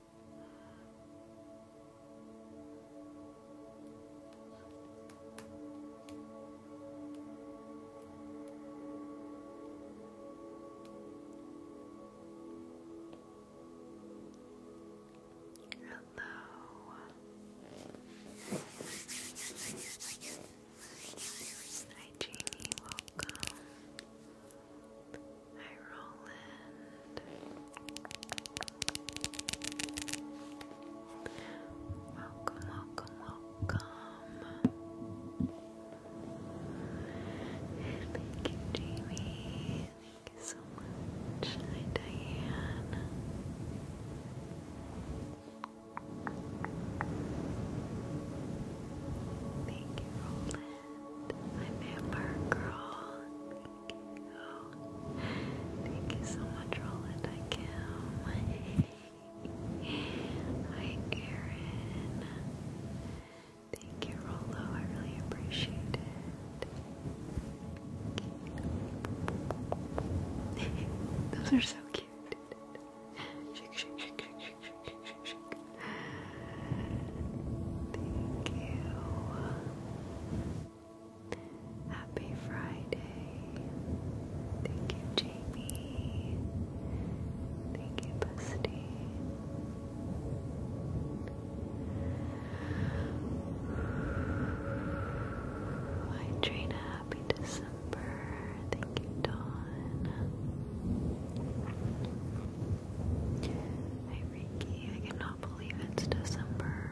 Hello. Hi Jamie, welcome. Hi, Roland. Welcome, welcome, welcome. Thank you, Jamie. Thank you so much. Diane. Thank you, Roland. I'm Amber Girl. Thank you so much, Roland. I can. Hi, Erin. Thank you, Rollo. I really appreciate it. Those are so cute. Thank you. Happy Friday. Thank you, Jamie. Thank you, Busty. Hi, Trina. Happy December. Thank you, Dawn. Hi, Ricky. I cannot cannot believe it's December.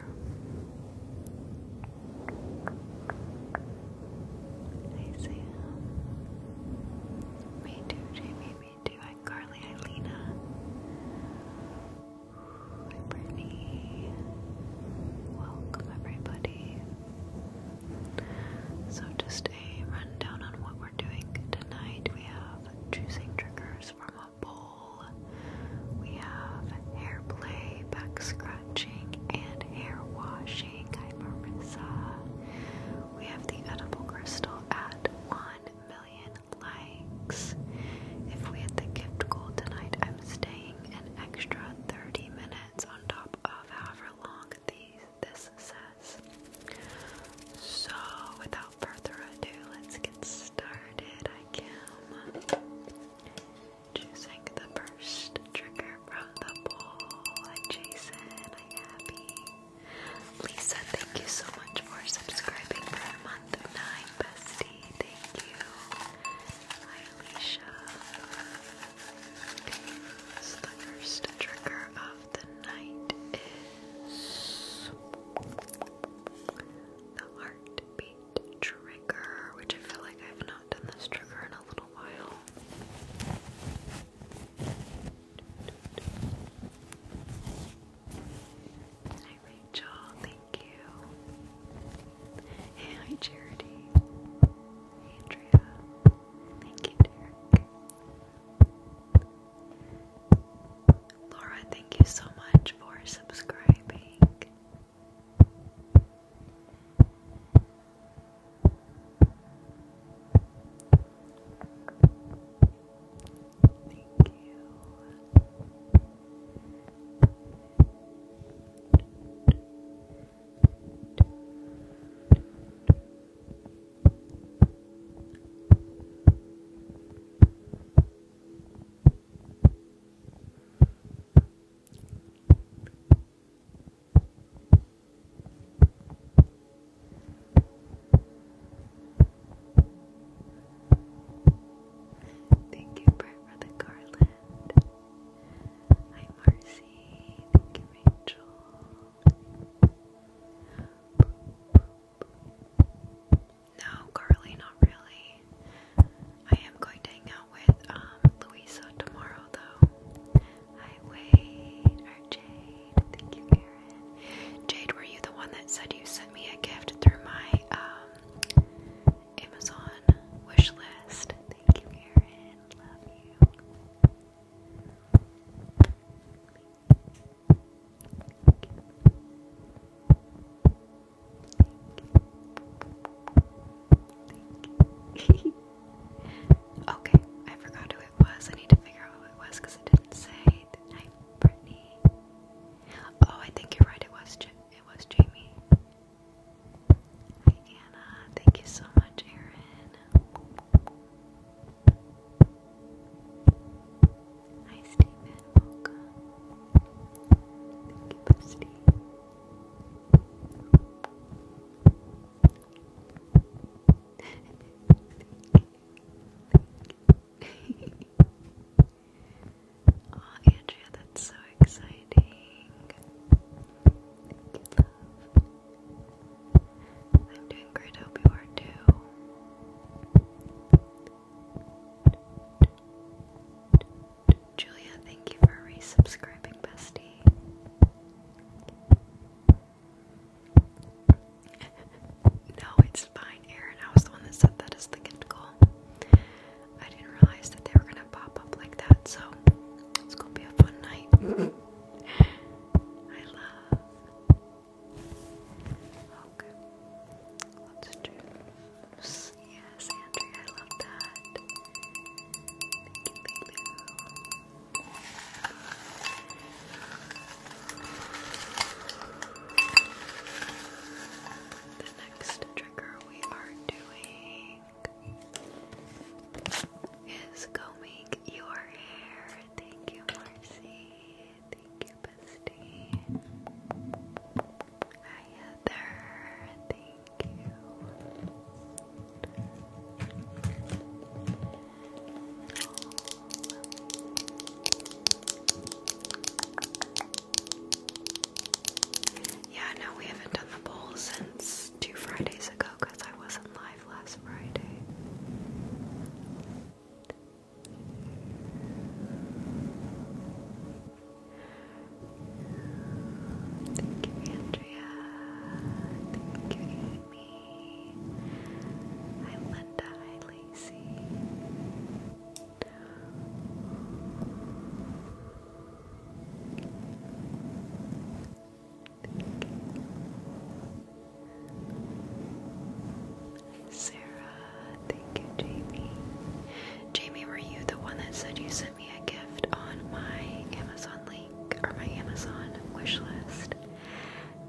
I see Me too, Jamie, me too. I'm Carly, Ilena. I'm Brittany. Welcome, everybody. So, just a rundown on what we're doing tonight. We have choosing triggers from bowl. We have hair play, back scratching, and hair washing. Hi, Marissa. We have the edible crystal at 1 million likes. If we hit the gift goal tonight, I'm staying an extra 30 minutes on top of however long these this says. So, without without further ado, let's get started. I am choosing the first trigger from the poll. Hi Jason, hi Abby. Lisa, thank you so much for subscribing for a month of nine, bestie. Thank you. Hi Alicia. So the first trigger of the night is the heartbeat trigger, which I feel like I've not done this trigger in a little while. Hi Rachel, thank you. hi Charity. Andrea. Thank you, Derek. Laura, thank you so much for subscribing. Thank you. Thank you, Brett, for the garland. Hi, Marcy. Thank you, Rachel. No, Carly, not really. I am going to hang out with um, Louisa tomorrow though. Hi Wade Jade. Thank you, Erin. Jade, were you the one that said you sent me a gift through my um Amazon wish list? Thank you, Erin. Love you. Thank you. okay, I forgot who it was. I need to figure out who it was because it didn't say. Hi, Brittany. Oh, I think you're right. It was J it was Jamie. Hi, Anna. Thank you so much, Erin. Hi, Stephen. Welcome. Thank you, Thank you. Aw, oh, Andrea, that's so exciting. I'm doing great. Hope you are too. Julia, thank you for resubscribing, bestie. no, it's fine, Erin. I was the one that said that is the gift goal. I didn't realize that they were gonna pop up like that, so it's gonna be a fun night. I love. Okay, let's do. Yes, Andrea, I love that. The next trigger we are doing is combing your hair. Thank you, Marcy. Thank you, bestie. Yeah, no, we haven't done the poll since two Fridays ago because I wasn't live last Friday. Thank you, Andrea. Thank you, Amy. Hi, Linda. Hi, Lacey. Sarah, Thank you, Jamie. Jamie, were you the one that said you sent me a gift on my Amazon link or my Amazon wish list?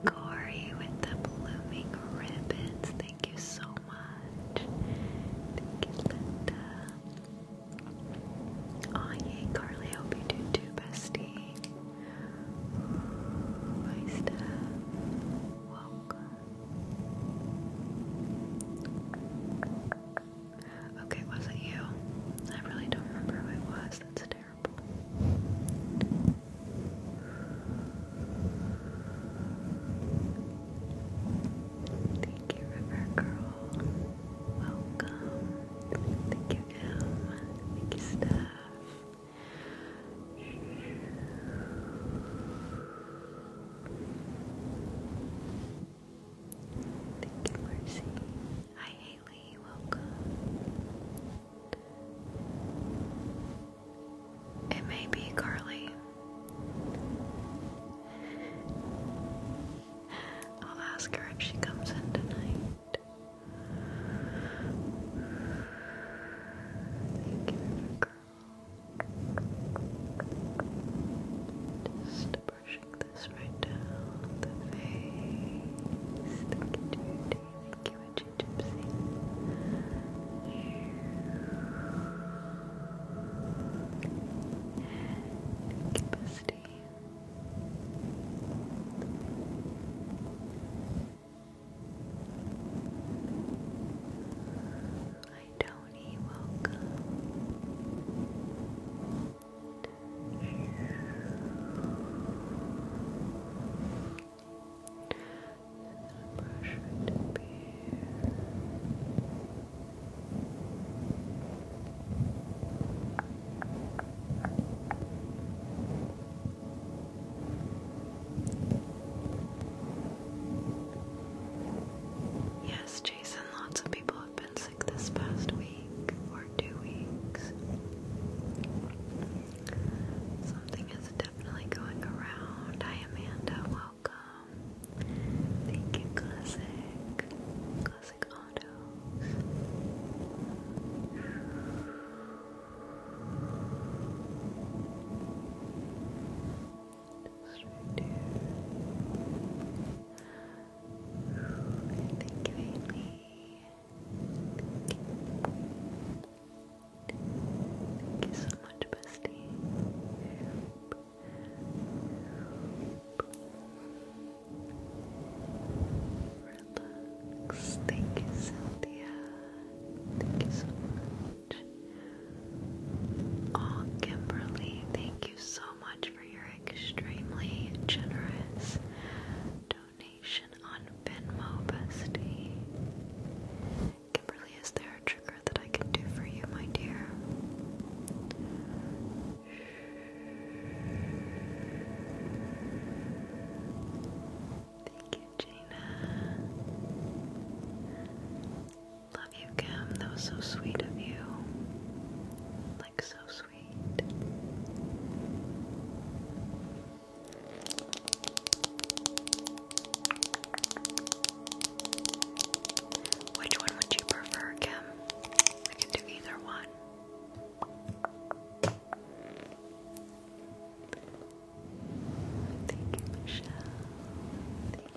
Corey with the blooming ribbons. Thank you so much. Thank you, Linda. Aw, yay, Carly. hope you do too, bestie. Ooh, my Okay, was it you? I really don't remember who it was. That's terrible. Thank you, River Girl. Welcome. Thank you, M. Thank you, Steph. Thank you, Mercy. Hi, Haley. Welcome. It may be Carly. I'll ask her if she comes in tonight. Thank you, River just brushing this right down the face. Thank you, Thank you, Itchy Gypsy. Hi you welcome. And brush it beard. Brush Yes, Jason, lots of people have been sick this past week or two weeks. Something is definitely going around. Hi, Amanda. Welcome. Thank you, Classic. Classic Autos. Thank you, so much, bestie. Relax. Thank you, Cynthia. Thank you so much. Oh, Kimberly, thank you so much for your extremely generous donation on Venmo, bestie. Kimberly, is there a trigger that I can do for you, my dear? Thank you, Gina. Love you, Kim. That was so sweet of you. Like, so sweet. Which one would you prefer, Kim? I can do either one. Thank you, Michelle.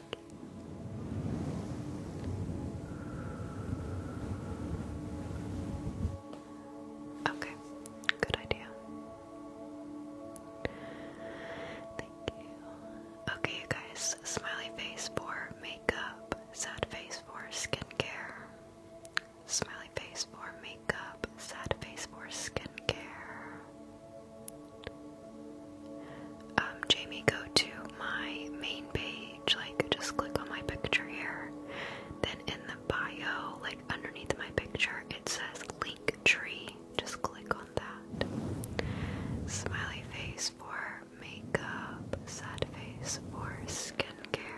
Okay, good idea. Thank you. Okay, you guys, smiley face for makeup, sad face for skincare. Smiley face for makeup, sad face for skincare. Um, Jamie, go to my main page, like just click on my picture here. Then in the bio, like underneath my picture, it says link tree. Just click on that. Smiley face for makeup, sad face for skincare.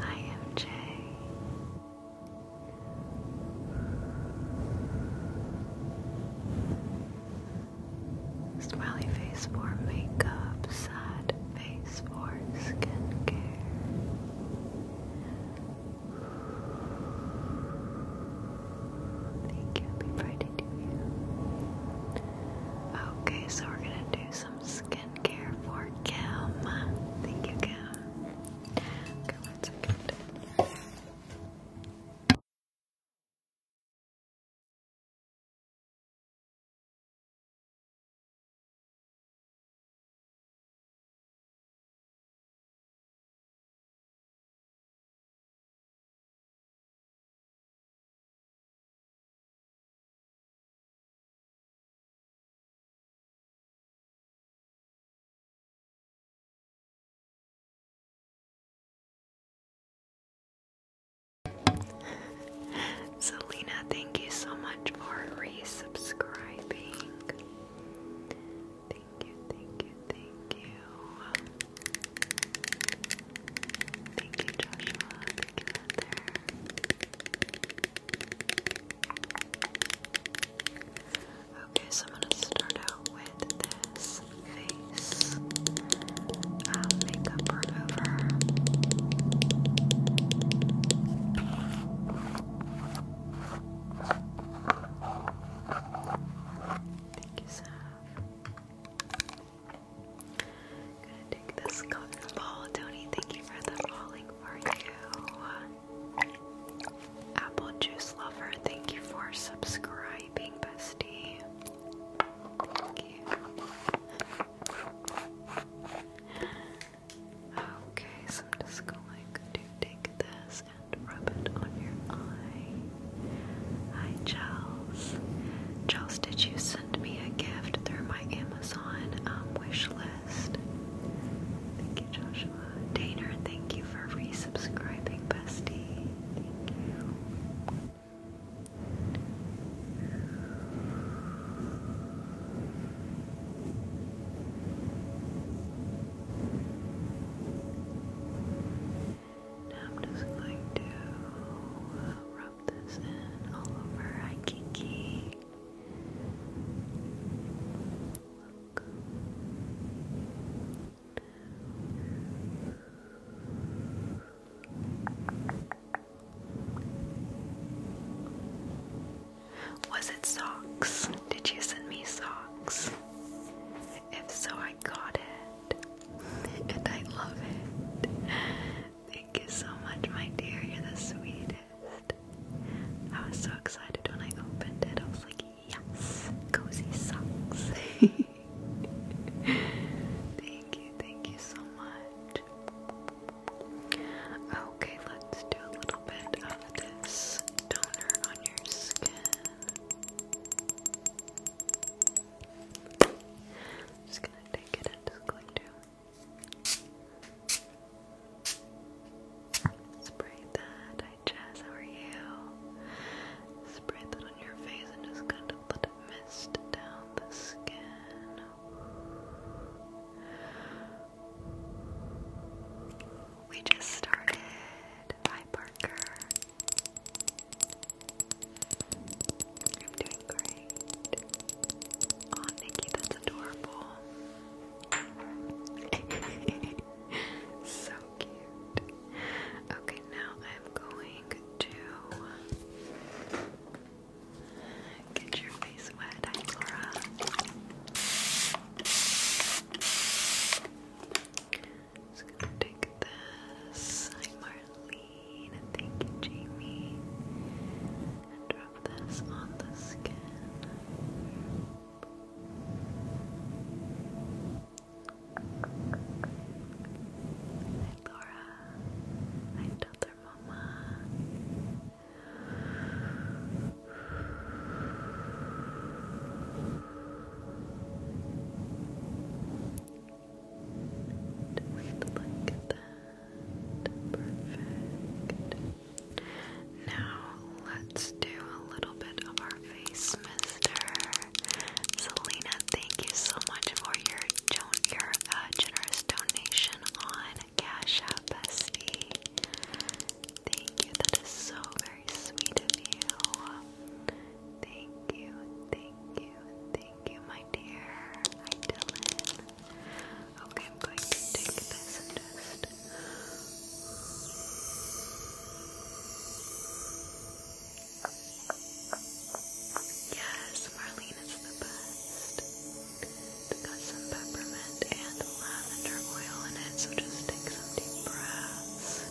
I am Jay. Smiley face for makeup, sad face for skincare. Thank you, happy Friday to you. Okay, so we're gonna do some skin Care for Kim. Thank you, Kim. Selena, thank you so much for resubscribing. Thank you, thank you, thank you. Thank you, Joshua. Thank you out Okay, so I'm gonna start out with this face um, makeup remover. Thank you, Sam gonna take this cotton ball. Tony, thank you for the falling for you. Apple Juice Lover, thank you for subscribing, bestie. Okay, so I'm just going to take this and rub it on your eye. Hi, Charles. Charles, did you send me a gift through my Amazon um, Thank you, Joshua. Daner, thank you for resubscribing, bestie. Thank you. Now I'm just going to uh, rub this in all over Aikiki. Was it socks? Did you send me socks? If so, I got it. and I love it. Thank you so much, my dear. You're the sweetest. I was so excited when I opened it. I was like, yes, cozy socks. thank you, thank you so much. Okay, let's do a little bit of this toner on your skin. just gonna take it and just going to Spray that. Hi Jess, how are you? Spray that on your face and just kind of let it mist down the skin. We just started. Hi Parker. I'm doing great. Oh, Nikki, that's adorable. so cute. Okay, now I'm going to get your face wet. Hi, Just gonna take this. Hi, Marlene. Thank you, Jamie rub on the skin. Hi Laura. Hi Dr. Mama. Just look that. Now let's do a little bit of our face, Mister Selena. Thank you so much for your uh, generous donation on Cash App, bestie. Thank you. That is so very sweet of you. Thank you, thank you, thank you, my dear. Hi, Dylan. Okay, I'm going to take this and Yes, Marlene is the best. It's got some peppermint and lavender oil in it, so just take some deep breaths.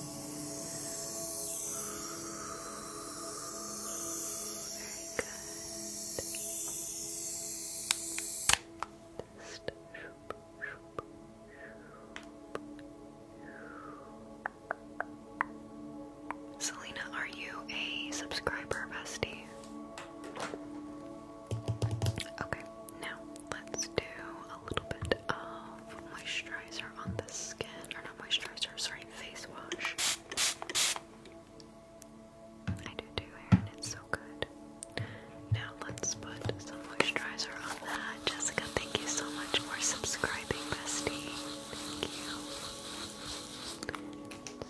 Very good. Selena, are you a subscriber, bestie? Okay, now let's do a little bit of moisturizer on the skin, or not moisturizer, sorry, face wash. I do do hair and it's so good. Now let's put some moisturizer on that. Jessica, thank you so much for subscribing, bestie. Thank you.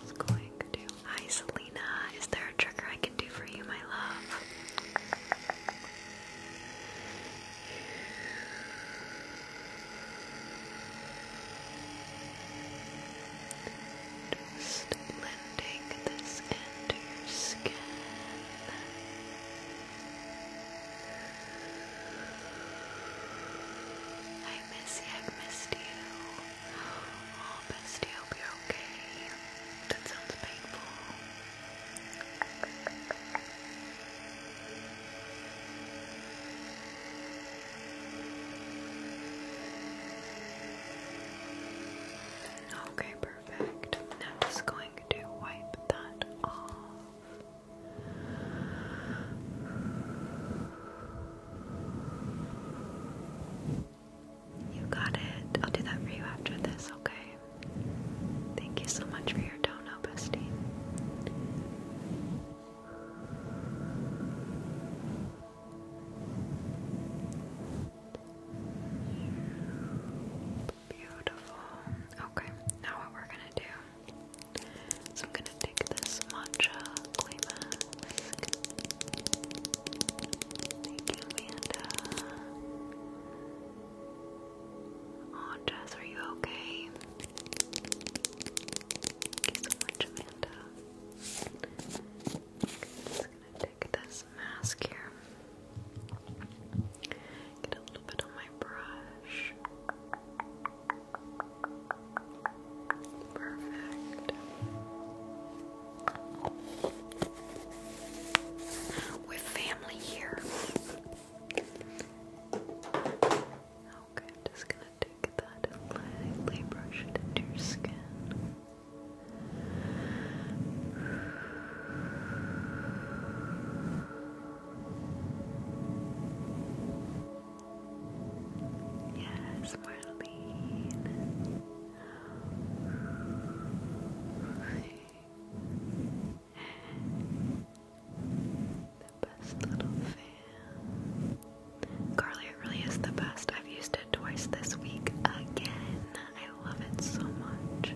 Just going to. Hi, Selena. Is there a trigger I can do for you, my love? just blending this into your skin. I miss you, I've missed you. Oh, hope you're okay. That sounds painful. Okay, perfect. I'm just going to wipe that off. You got it. I'll do that for you after this, okay? Thank you so much for your dono, bestie. Beautiful. Okay, now what we're gonna do is I'm gonna take this matcha clay Thank you, Amanda. Oh, Jess, are you okay? Thank you so much, Amanda. Okay, i just gonna take this mask here. Get a little bit on my brush. Perfect. With family here. Okay, I'm just gonna take that and lightly brush it into your skin. Yes, Marlene. The best little fan. Carly, it really is the best. I've used it twice this week again. I love it so much.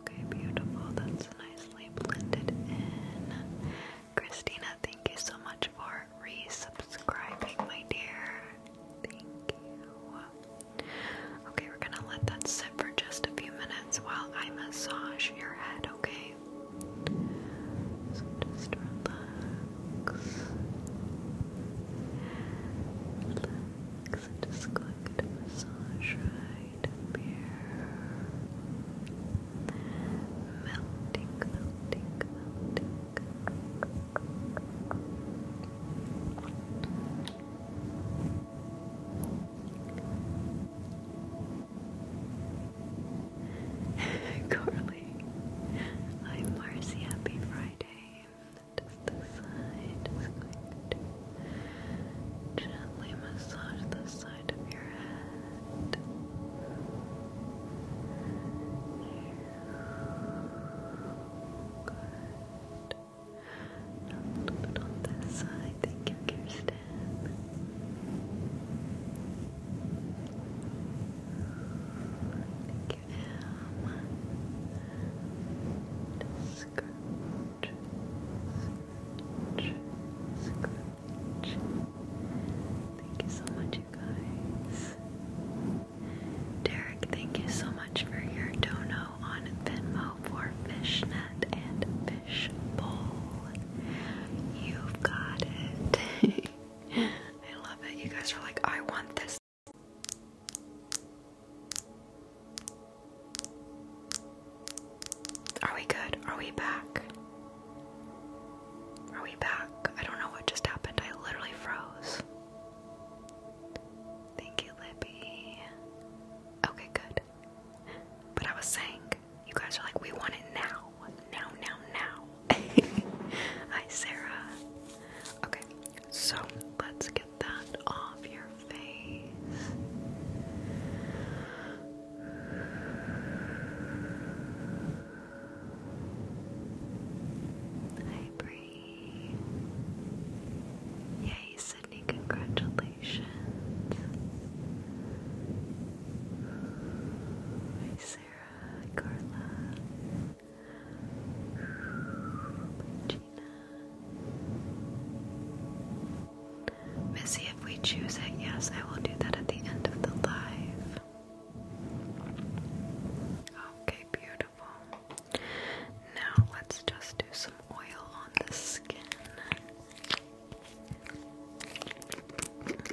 Okay, beautiful. That's nicely blended in. Christina, thank you so much for resubscribing, my dear. Thank you. Okay, we're gonna let that sit for just a few minutes while I massage your head, okay? So just relax. Relax. I'm just going to massage right here. Melting, melting, melting. Carly. I'm Marcy. Happy Friday. Just the side. gently massage the side of your head. Good. a little bit on this side. Thank you, Kirsten. Thank you, Em. Scrunch, Thank you so much, you guys. Derek, thank you so much for your dono on Venmo for fishnet and fishbowl. You've got it. I love it. You guys are like, I want this. Are we good? Are we back? Are we back? I don't know what just happened. I literally froze. Thank you, Libby. Okay, good. But I was saying, you guys are like, we want it now. Now, now, now. Hi, Sarah. Okay, so let's get that off your face. Hi, Bree. Yay, Sydney, congratulations. Carla, Missy, if we choose it, yes, I will do that at the end of the live. Okay, beautiful. Now let's just do some oil on the skin.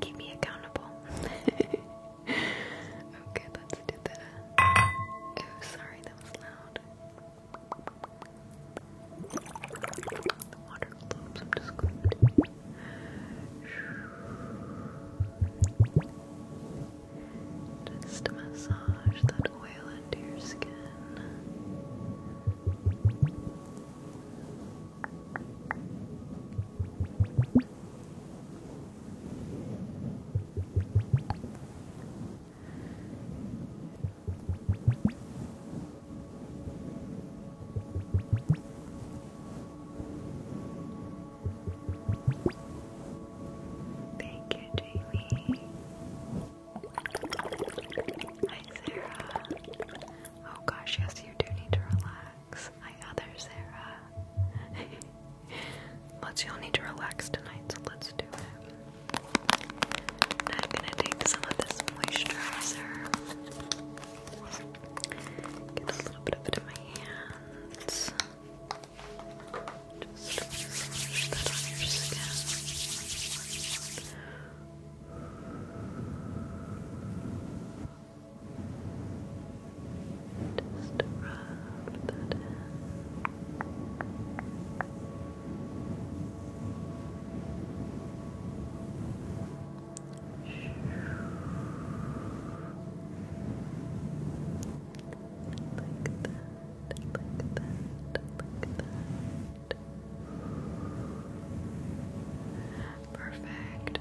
Keep me accountable. okay, let's do the. Oh, sorry, that was loud. Just massage that oil into your skin. Thank you, Jamie. Hi, Sarah. Oh gosh, yes, you do need to relax relax. Let's, you all need to relax tonight, so let's do it. I'm gonna take some of this moisturizer. Get a little bit of it in my hands. Just brush on your skin. Just rub that in. Like that, like that, like that. Perfect.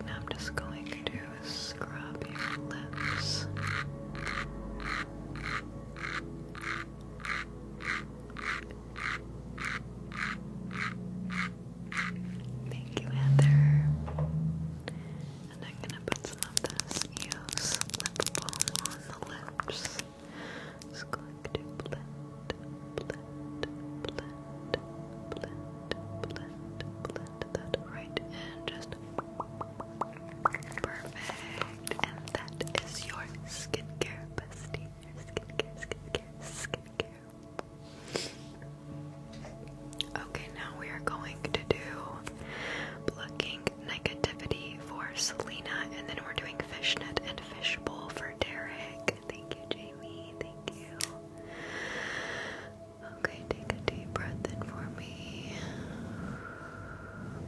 Now I'm just going to scrub your lips. Thank you, Heather. And I'm gonna put some of this Eos lip balm on the lips. It's going to blend, blend, blend, blend, blend, blend, that right in. Just perfect. And that is your skincare bestie. skincare, skincare, skincare. Okay, now we are going to do plucking negativity for Selena, and then we're doing fishnet and fishbowl for Derek. Thank you, Jamie. Thank you. Okay, take a deep breath in for me.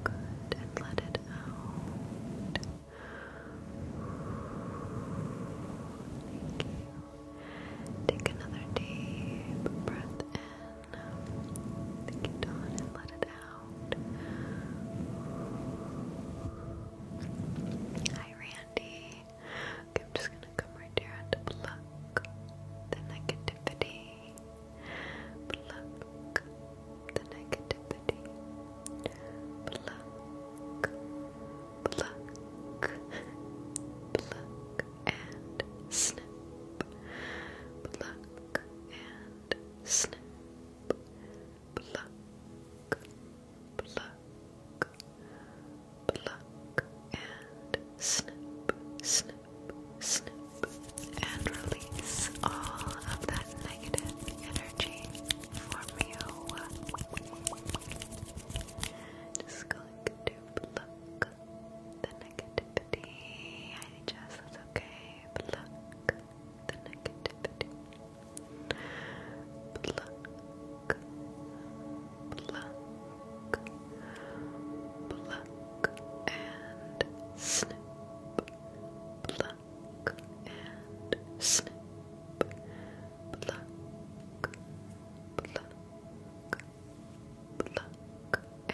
and let it out. Take another deep breath in. Thank you, Dawn, and let it out. Hi, Randy. Okay, I'm just gonna come right here and pluck the negativity. Pluck the negativity. Pluck, pluck, pluck, and snip. Pluck and snip. Pluck, pluck, pluck, and snip, snip, snip, and release all of that negative energy from Just going to pluck the negativity. I just, okay. Pluck the negativity. Pluck pluck, pluck, pluck, and snip, pluck, and snip, pluck, pluck, pluck,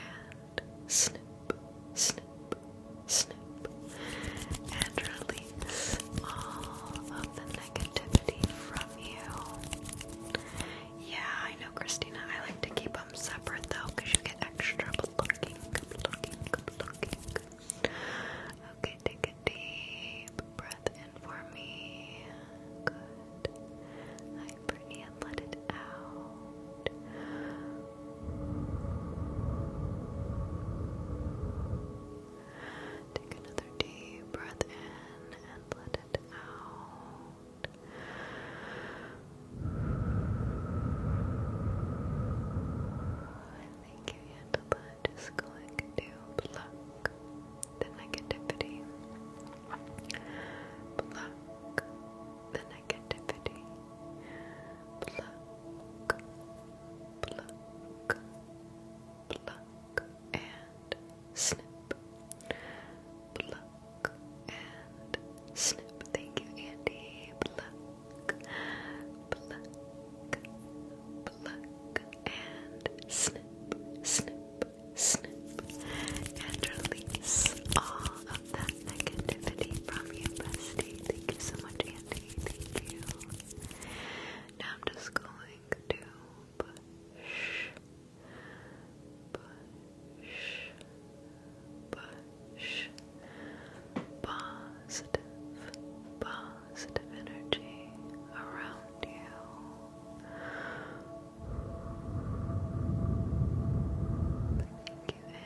and snip, snip, snip, and release all of the yeah, I know, Christina. I like to keep them separate though, because you get extra looking, looking, looking. Okay, take a deep breath in for me. Good. I breathe and let it out. Take another deep breath in and let it out. I think you handle that. Just going to pluck the negativity. Pluck the negativity. Pluck, pluck, pluck, and snip. Pluck and snip. Thank you, Andy. Pluck, pluck, pluck, and snip, snip, snip. And release all of that negativity from you, bestie. Thank you so much, Andy. Thank you. Now I'm just going to push push, push, positive, positive energy around you. Thank you, Em.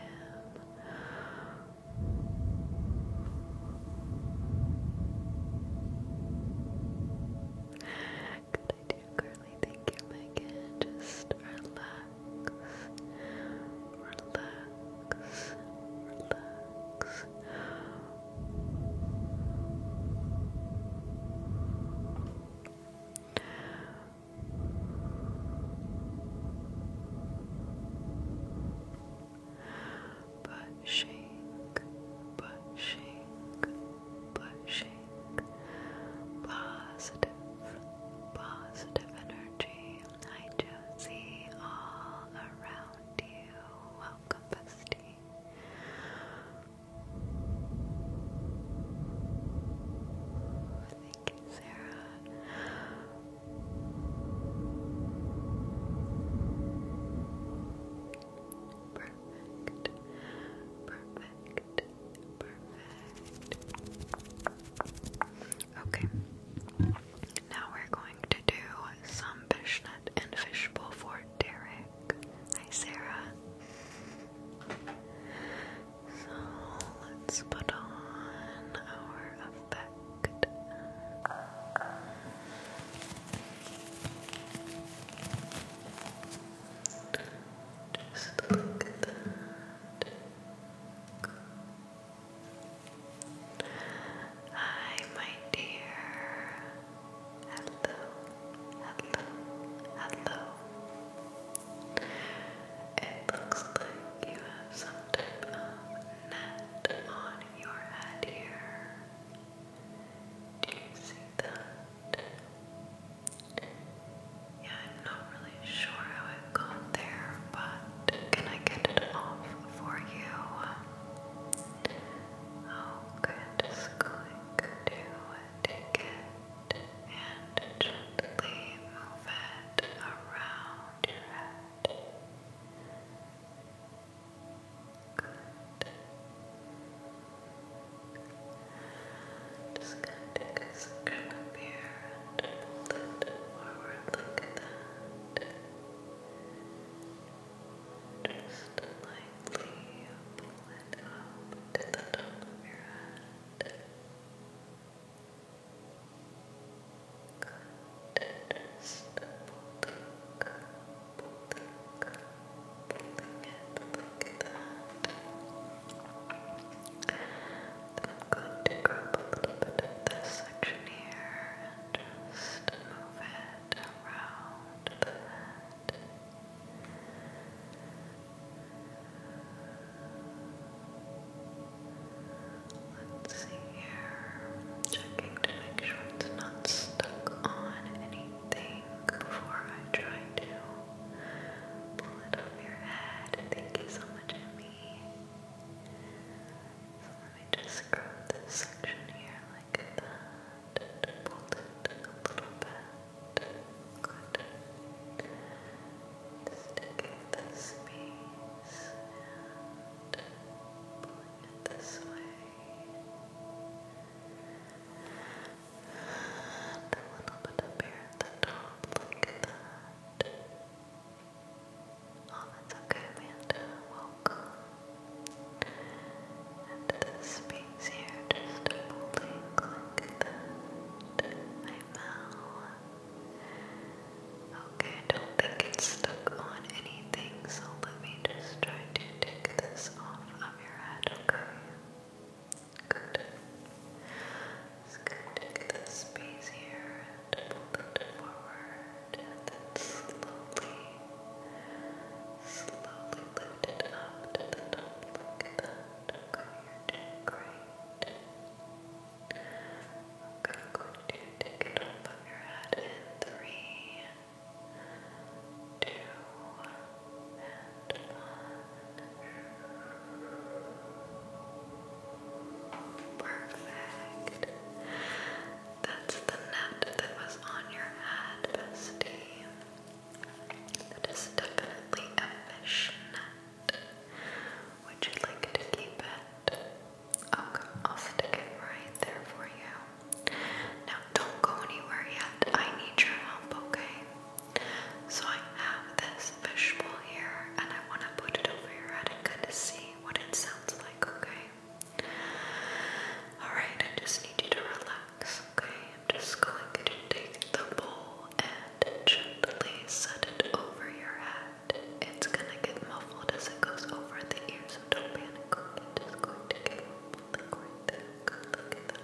Good idea, Carly. Thank you, Megan. Just relax. Relax. Relax. Pushing, pushing, positive energy. I Josie, all around you. Welcome, bestie. Thank you, Sarah perfect, perfect, perfect. Okay, now we're going to do some fishnet and fishbowl for Derek. Hi, Sarah. So let's put on our effect. Just Hi, my dear. Hello, hello, hello. It looks like you have some type of net on your head here. Do you see that? Yeah, not really sure how it got there, but can I get it off for you? Okay, I'm just going to take it and gently move it around your head. Just gonna take a section up here and fold it forward like that. Just lightly pull it up to the top of your head. Good. Just pull the cup, pull the cup. Look at I'm going to grab a little bit of this section here and just move it around Let's see here. Checking to make sure it's not stuck on anything before I try to Pull it off your head. Thank you so much, Emmy. So let me just scrub this section here like that. Fold it a little bit. Good. Just taking the and pulling it this way. And a little bit up here the top, like that. Oh, that's okay, Welcome. And this space here, just holding like that. I know. Okay, I don't think it's stuck on anything, so let me just try to take this off of your head, okay? Good. Just gonna take this space here and it forward and then slowly, slowly lift it up to the top like that. great. Okay, I'm take it off of your head in three, two, Perfect. That's the net that was on your head, bestie. That is definitely a fish net. Would you like to keep it? Okay, oh, I'll stick it right there for you. Now, don't go anywhere yet. I need your help, okay? So I have this fishbowl here and I want to put it over your head and kind of see what it sounds like, okay? Alright, I just need you to relax, okay? I'm just going to take the bowl and gently set it over your head. It's gonna get muffled as it goes over the ears, so don't panic. It's going to get muffled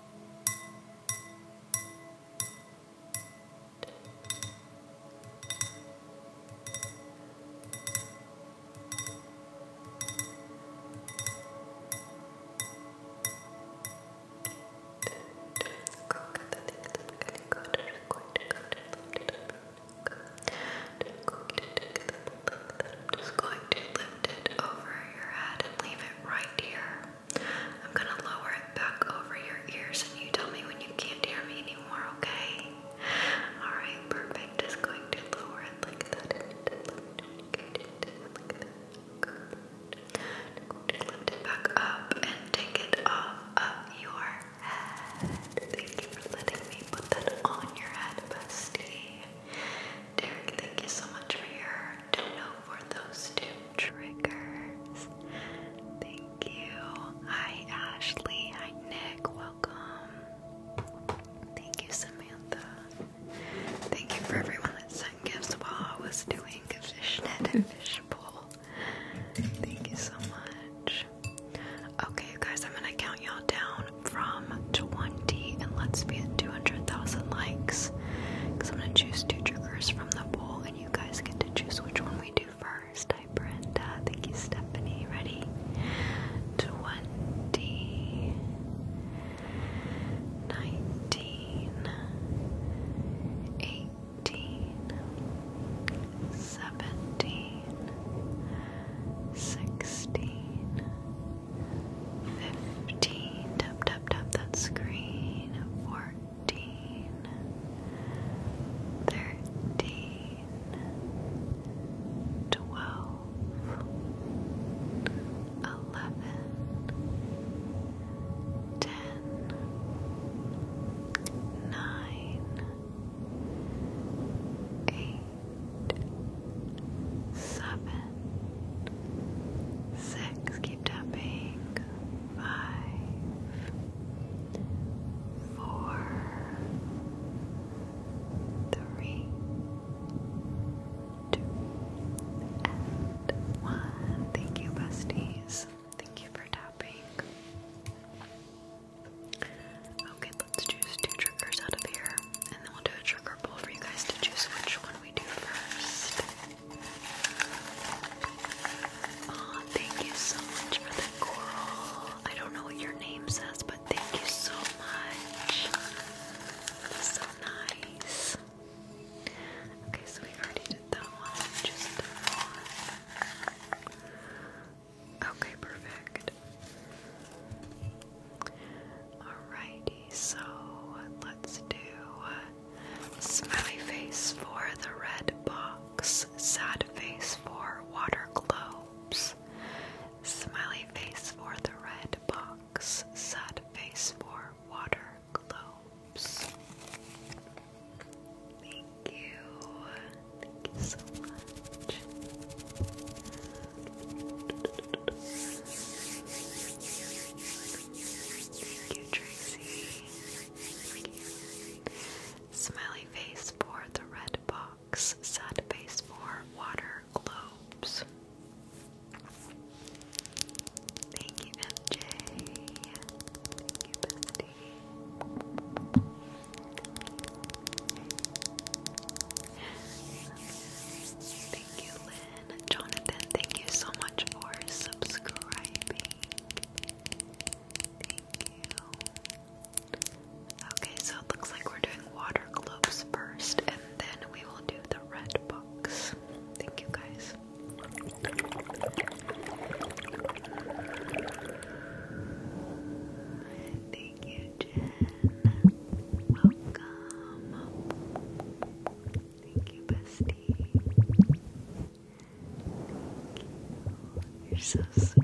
I'm just going to lift it over your head and leave it right here. I'm gonna lower it back over your ears and you tell me when you can't hear me anymore, okay? Alright, perfect. Just going to lower it like that. Good. Lift it back up and take it off of your head. Thank you for letting me put that on your head, bestie. Derek, thank you so much for your dono for those two triggers. Thank you. Hi, Ashley. Hi, Nick. Welcome. Thank you, Samantha. Thank you for everyone that sent gifts while I was doing fishnet and fishbowl. Thank you so much. Okay, guys, I'm gonna count y'all down from 20 and let's be at 200,000 likes because I'm going to choose two triggers from the bowl and you guys get to choose which one we do first. Hi Brenda, thank you Stephanie. Ready? 20 19 18 17 16 fifteen, tap tap tap that screen, fourteen, thirteen, twelve, eleven, ten, nine, eight, seven six, keep tapping, five, four, three, two, and one. Thank you, besties. Thank you for tapping. Okay, let's choose two triggers out of here, and then we'll do a trigger pull for you guys to choose which one we do first. Oh, thank you so much for the coral. I don't know what your name says, but thank you so much. so nice. Okay, so we already did that one. Just Okay, perfect. Alrighty, so let's do smiley face for the red box, sad face for water globes, smiley face for the red box, sad face for water globes. Thank you. Thank you so much. Thank you, face for the red box. Sad face for water globes. Thank you, MJ. Thank you, bestie. Thank you, Lynn. Jonathan, thank you so much for subscribing. Thank you. Okay, so it looks like we're doing water globes first, and then we will do the red books. Thank you, guys. Thank you, Jen. Welcome. Thank you, bestie. you. are so sweet.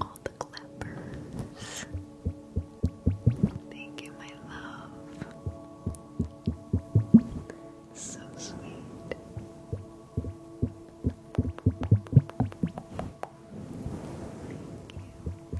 All the clappers. Thank you, my love. So sweet.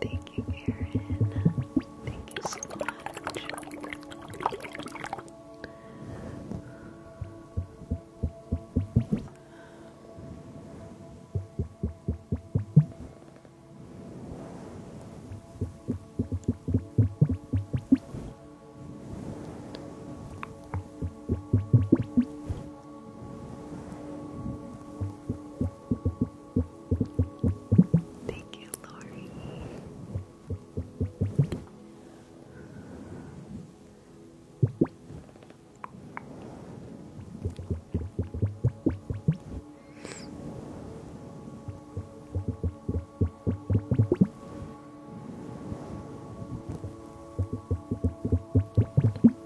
Thank you, Erin. Thank you so much. Thank you, Lori.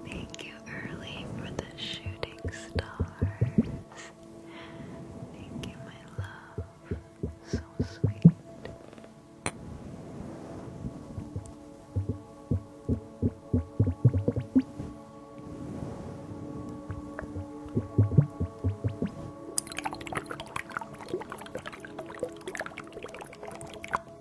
Thank Thank Early, for the shooting stars. Thank my love. So sweet. Aw,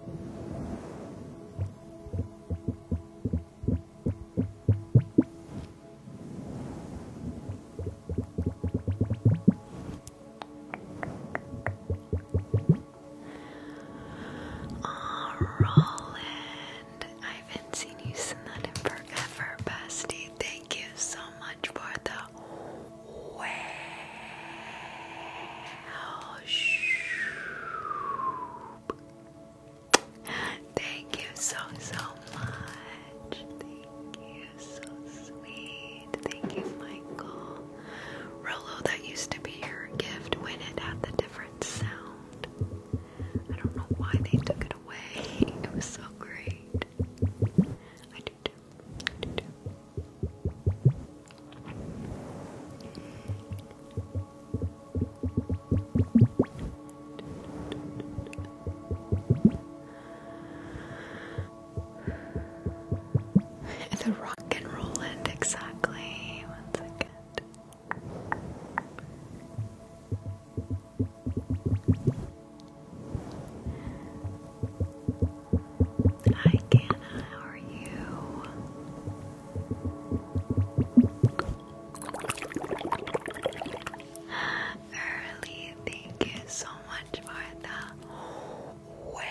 I haven't seen you send that in forever, bestie. Thank you so much for the way. Thank you so, so much. Thank you, so sweet. Thank you, Michael. Rolo, that used to be your gift when it had the different sound. I don't know why they took it away. It was so great. I do too. I do the rock and roll end exactly. One second. Hi, Gana. How are you? Early, thank you so much for the whale.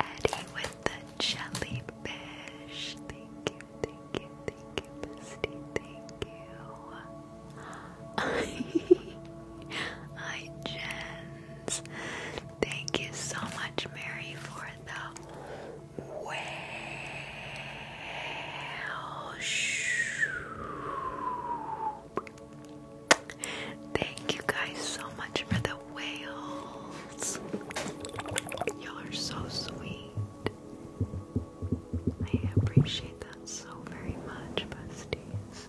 Eddie with the jellyfish. Thank you, thank you, thank you, Thank you. Hi, Jens. Thank you so much, Mary, for the whale. Thank you guys so much for the whales. Y'all are so sweet. I appreciate that so very much, besties.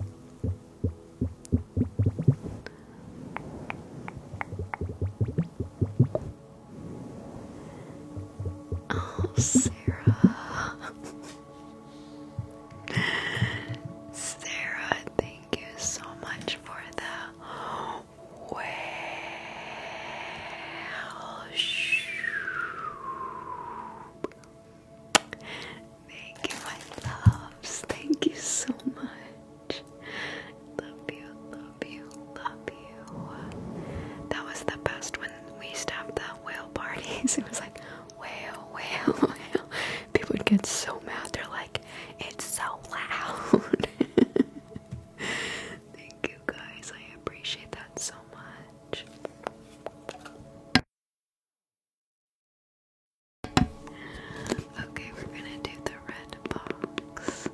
Oh, Sarah. Sarah, thank you so much for the wow. Thank you, my loves. Thank you so much. Love you, love you, love you. That was the best when we used to whale parties. It was like whale, whale, whale. People would get so mad. They're like, it's so loud. Thank you guys. I appreciate that so much. Okay, we're gonna do the red box.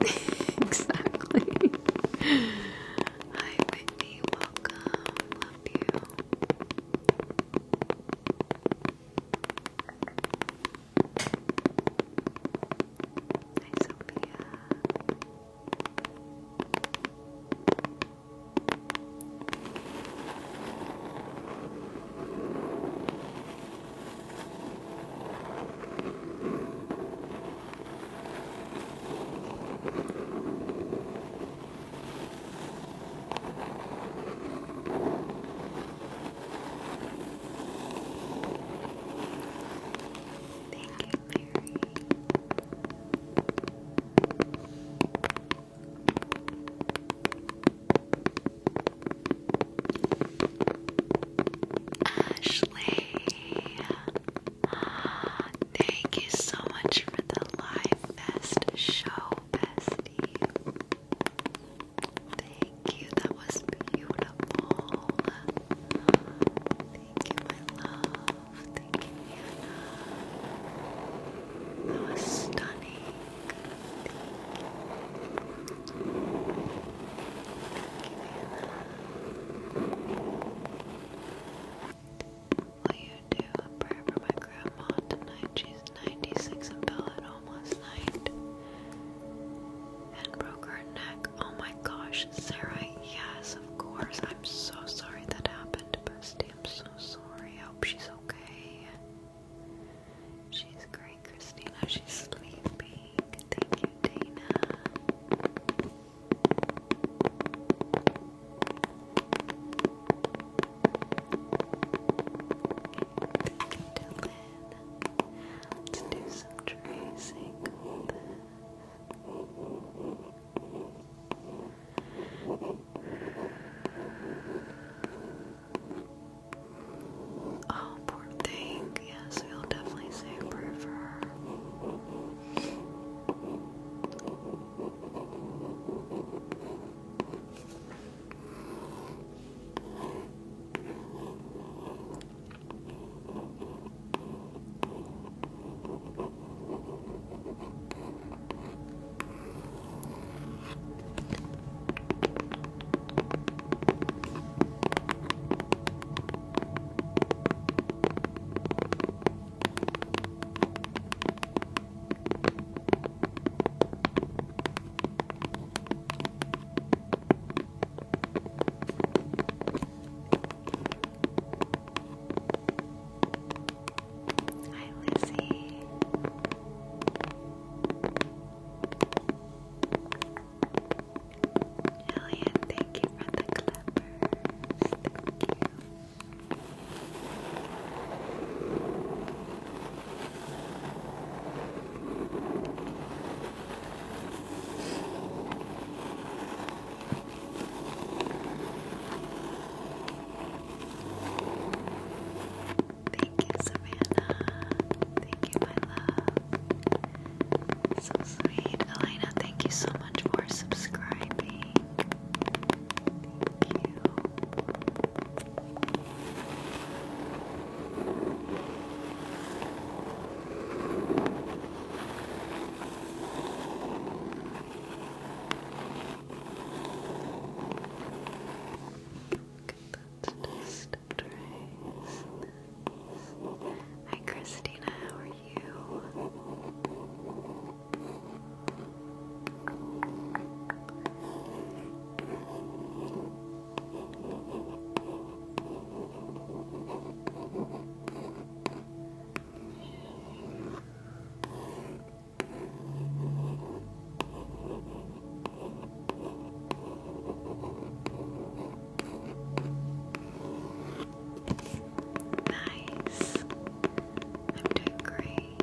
exactly. Hi, Whitney. Welcome. Love you. Hi, Sophia. Thank you, Mary. Ashley, thank you so much for the live best show, bestie. Thank you, that was beautiful. Thank you, my love. Thank you, Hannah. That was stunning. Will you do a prayer for my grandma tonight? She's 96 and fell at home night and broke her neck. Oh my gosh, Sarah, yes, of course. I'm so sorry that happened, Bestie. I'm so sorry. I hope she's okay. She's great. Christina, she's sleeping. Thank you, Dana. Let's do some tracing Oh, poor thing. Yes, we'll definitely say a prayer for her. Hi, Lizzie. Jillian, thank you for the clippers. Thank you. Thank you, Savannah. Thank you, my love. So sweet. Elena, thank you so much for subscribing. Thank you. Look at that, just Hi Christina, how are you? Nice. I'm doing great.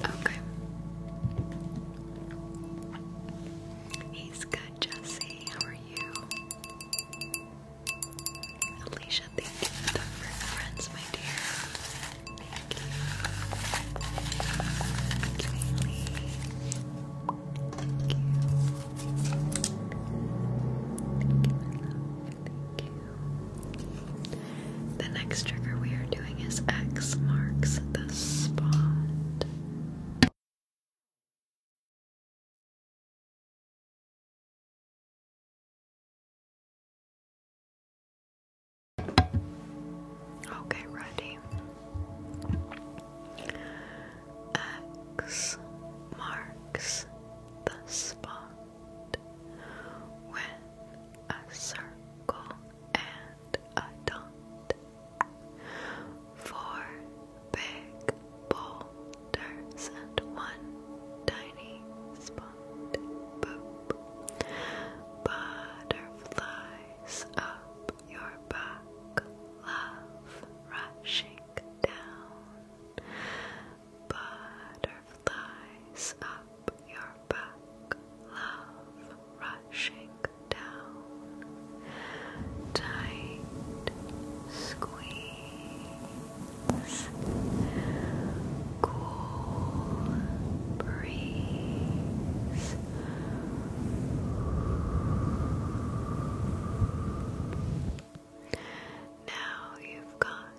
Okay. He's good, Jesse. How are you? Alicia, thank you for the friends, my dear. Thank you. Kaylee. Thank you. Thank you, my love. Thank you. The next trigger we are doing is X marks the spot. Okay, ready. X marks the spot when a circle, and a dot. Four big boulders and one tiny spot. Boop. Butterflies up your back, love rushing down. Butterflies butterflies up your back, love rushing down. Tight squeeze, cool breeze. Now you've got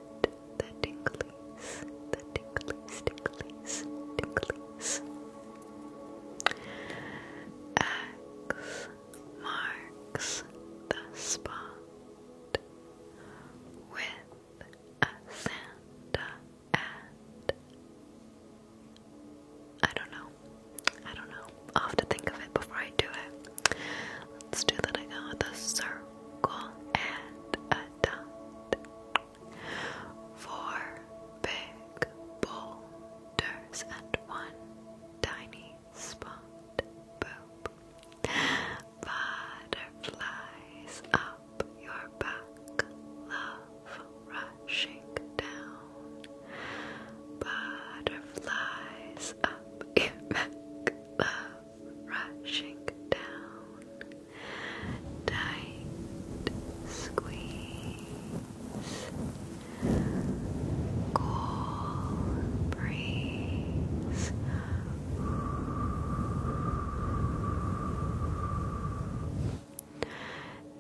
the tinklies, the tinklies, tinklies, tinklies. X marks the spot with a Santa and I don't know. I don't know. i have to think of it before I do it. Let's do that circle and a dot. Four big boulders and one tiny spot. Boop. Butterflies up your back, love rushing down. Butterflies up your back, love rushing down tight squeeze, cool breeze.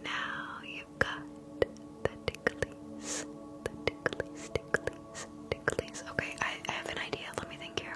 Now you've got the ticklies, the ticklies, ticklies, ticklies. Okay, I, I have an idea. Let me think here.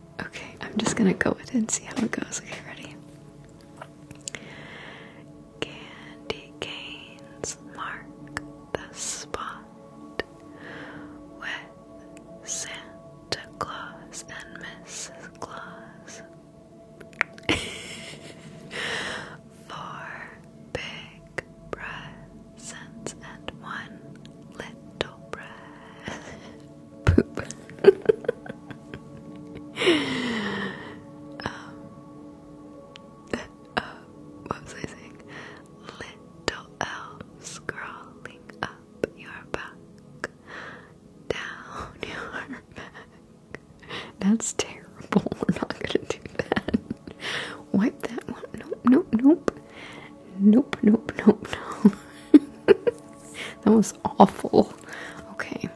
Okay, I'm just gonna go with it and see how it goes. Okay, ready? Candy canes mark the spot with Santa Claus and Mrs. Claus. Four big presents and one little breath. Poop. Um, what was I saying? Little elves crawling up your back, down your back. That's terrible. We're not gonna do that. Wipe that one. Nope, nope, nope. Nope, nope, nope, nope. that was awful. Okay.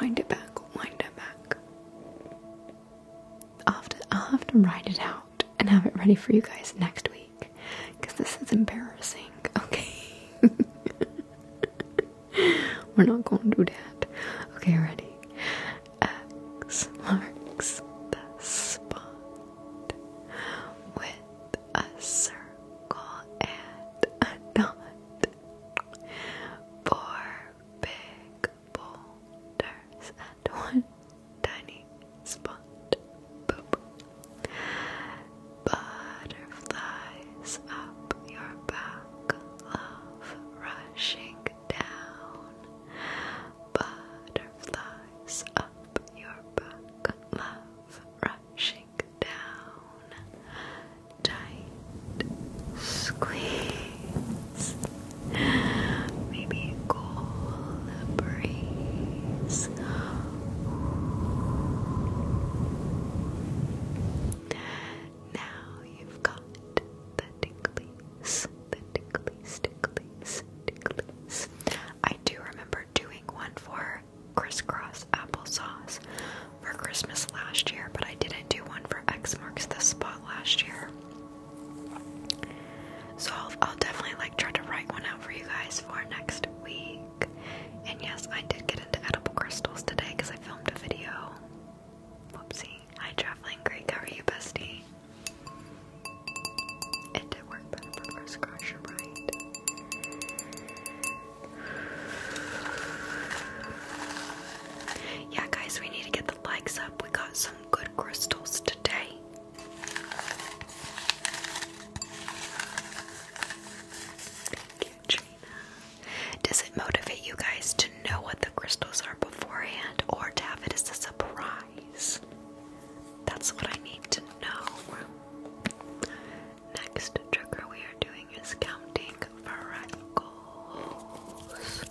Wind it back, wind it back. i have to i have to write it out and have it ready for you guys next week. Cause this is embarrassing. Okay. We're not gonna do that. Okay, ready. marks the spot with a circle and a dot, Four big boulders and one tiny spot. Boop. Butterflies up your back, love rushing down. Butterflies up your back, love rushing down. Tight squeeze. Maybe cool breeze. Now you've got the ticklies, the ticklies, ticklies, ticklies. I do remember doing one for crisscross applesauce for Christmas last year, but I didn't do one for X Marks the Spot last year. So I'll, definitely like try to write one out for you guys for next week. And yes, I did get into edible crystals today because I filmed a video. Whoopsie. Hi, traveling great How are you, bestie? It did work better first crush, right? Yeah, guys, we need to get the likes up. We got some good crystals today. Thank you, Gina. Does it motivate you guys to know what the crystals are beforehand or to have it as a surprise? That's what I need to know. Next trigger we are doing is counting freckles.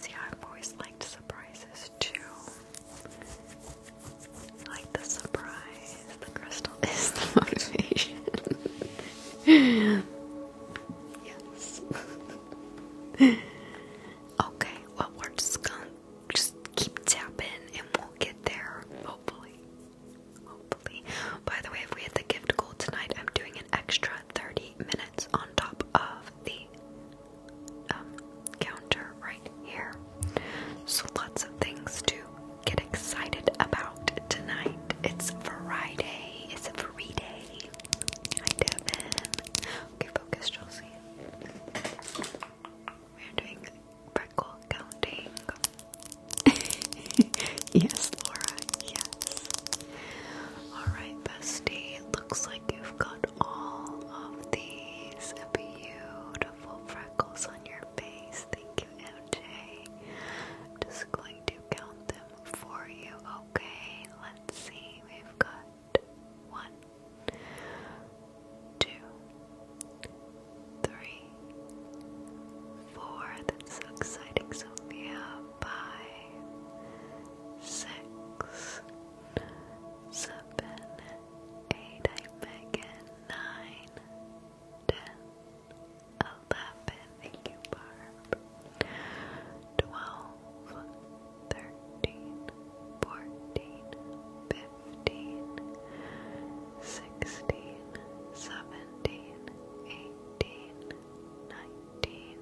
See, I've always liked surprises too. like the surprise. The crystal is the motivation. yes. Okay, well, we're just gonna just keep tapping and we'll get there, hopefully. Hopefully. By the way, if we hit the gift goal tonight, I'm doing an extra 30 minutes on top of the um, counter right here. So, lots of things to get excited about tonight. It's Friday, it's a free day. Hi, Devin. Okay, focus, Chelsea. We're doing freckle counting. yes, Laura, yes. Alright, bestie. Looks like you've got all of these beautiful freckles on your face. Thank you, MJ. I'm just going to count them for you, okay? Let's see. We've got one, two, three, four. That's so exciting, Sophia. Five, six, seven, eight. Megan. Nine, ten, eleven. Thank you, Barb. Twelve thirteen, fourteen, fifteen, sixteen, seventeen, eighteen, nineteen,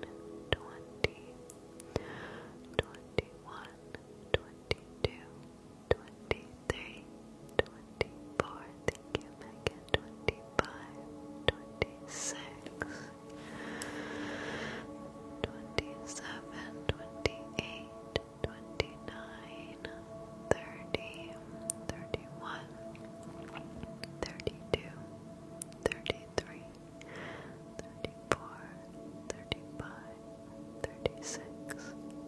twenty, twenty-one, twenty-two, twenty-three, twenty-four. Thank you, Megan. Twenty-five, twenty-six twenty-seven, twenty-eight, twenty-nine, thirty, thirty-one, thirty-two, thirty-three, thirty-four, thirty-five, thirty-six,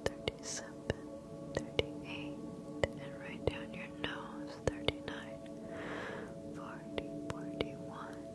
thirty-seven, thirty-eight, and right down your nose, thirty-nine, forty, forty-one,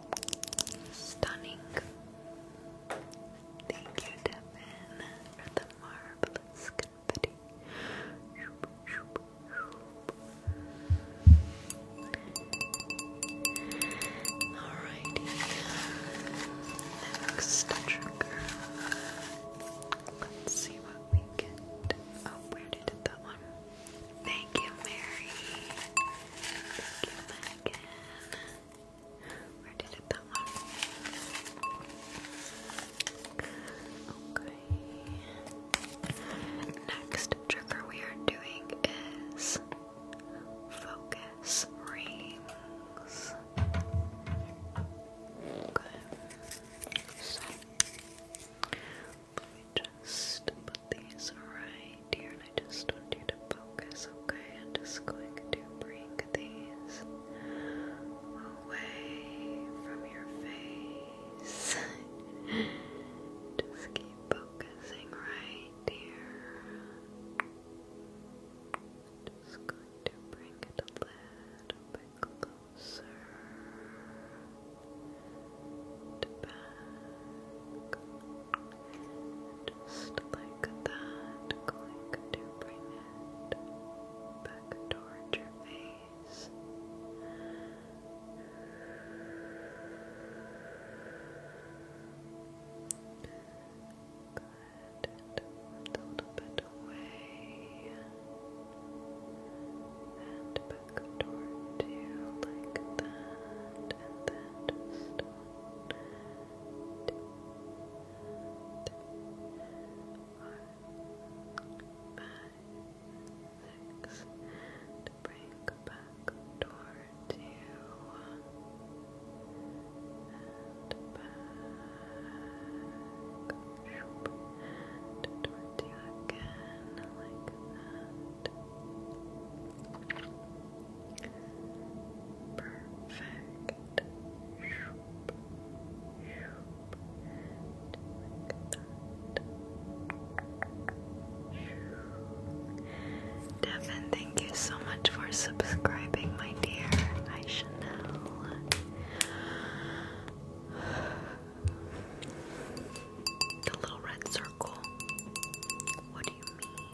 Stunning. Thank you, Devin, for the marvelous confetti. Shoop, shoop, shoop. Alrighty. Let's see what we get. Oh, where did that one? Thank you, Mary. Thank Where did it come Okay. Next trigger we are doing is focus rings. Okay just put these right here, and I just want you to focus, okay? I'm just going to bring these away from your face. just keep focusing right here. Just going to bring it a little bit closer and back, just like that, click to bring it back towards your face. Good, a little bit away and back you like that, and then just one, two, three, four, five, six, bring back towards you, and and towards you again, like that. Perfect. thank you so much for subscribing, my dear. I should know. The little red circle. What do you mean?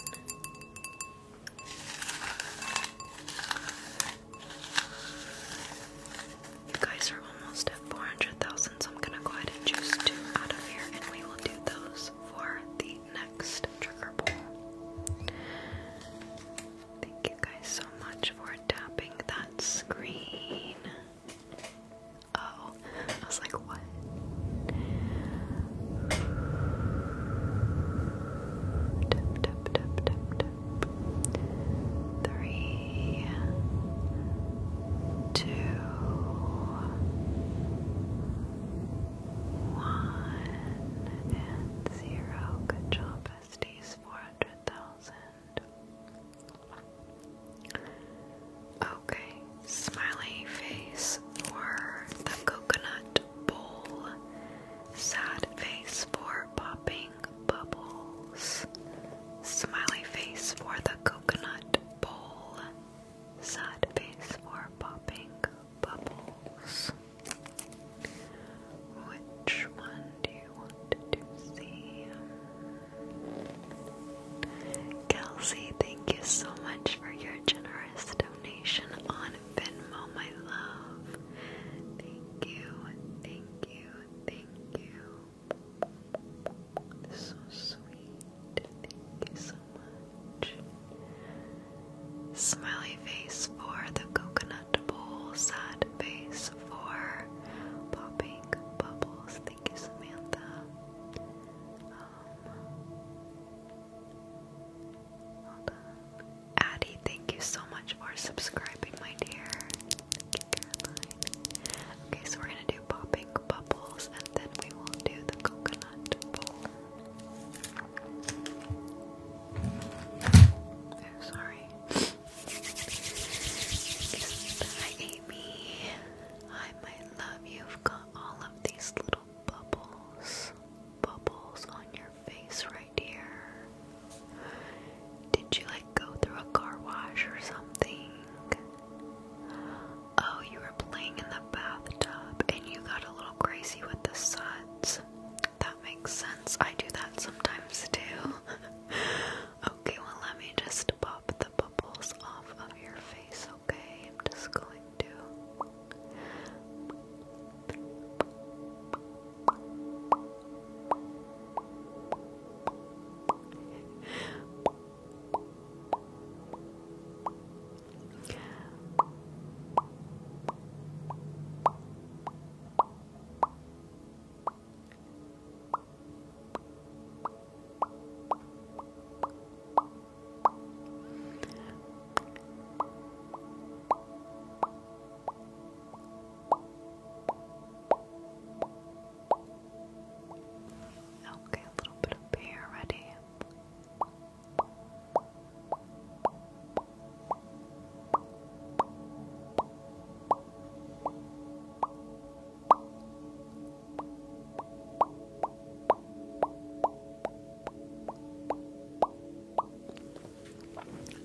You guys are almost at 400,000, so I'm gonna go ahead and choose two out of here, and we will do those for the next trigger pull. Thank you guys so much for tapping that screen. Oh, I was like, what? Three, two, one, and zero. Good Four hundred thousand. Okay, smiley face for the coconut bowl, sad face for popping bubbles. Smiley face for the coconut bowl, sad face for popping bubbles. Which one do you want to see? Kelsey, thank you so much for your generous donation on Venmo, my love. Thank you, thank you, thank you. So sweet. Thank you so much. Smiley face for the coconut bowl, sad face for popping bubbles. Thank you, Samantha. Addie, thank you so much for subscribing, my dear. Okay, so we're gonna do popping bubbles and then we will do the coconut bowl. Oh, sorry. Hi, Amy. I might love you've got all of these little bubbles, bubbles on your face right here. Did you like go through a car wash or something? Oh, you were playing in the bathtub and you got a little crazy with the suds. That makes sense. I do that sometimes too. okay, well, let me just pop the bubbles off of your face face, okay? I'm just going to. Okay, a little bit up here ready.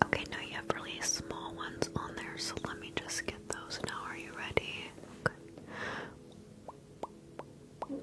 Okay, now you have really small ones on there, so let me just get those now. Are you ready? Okay.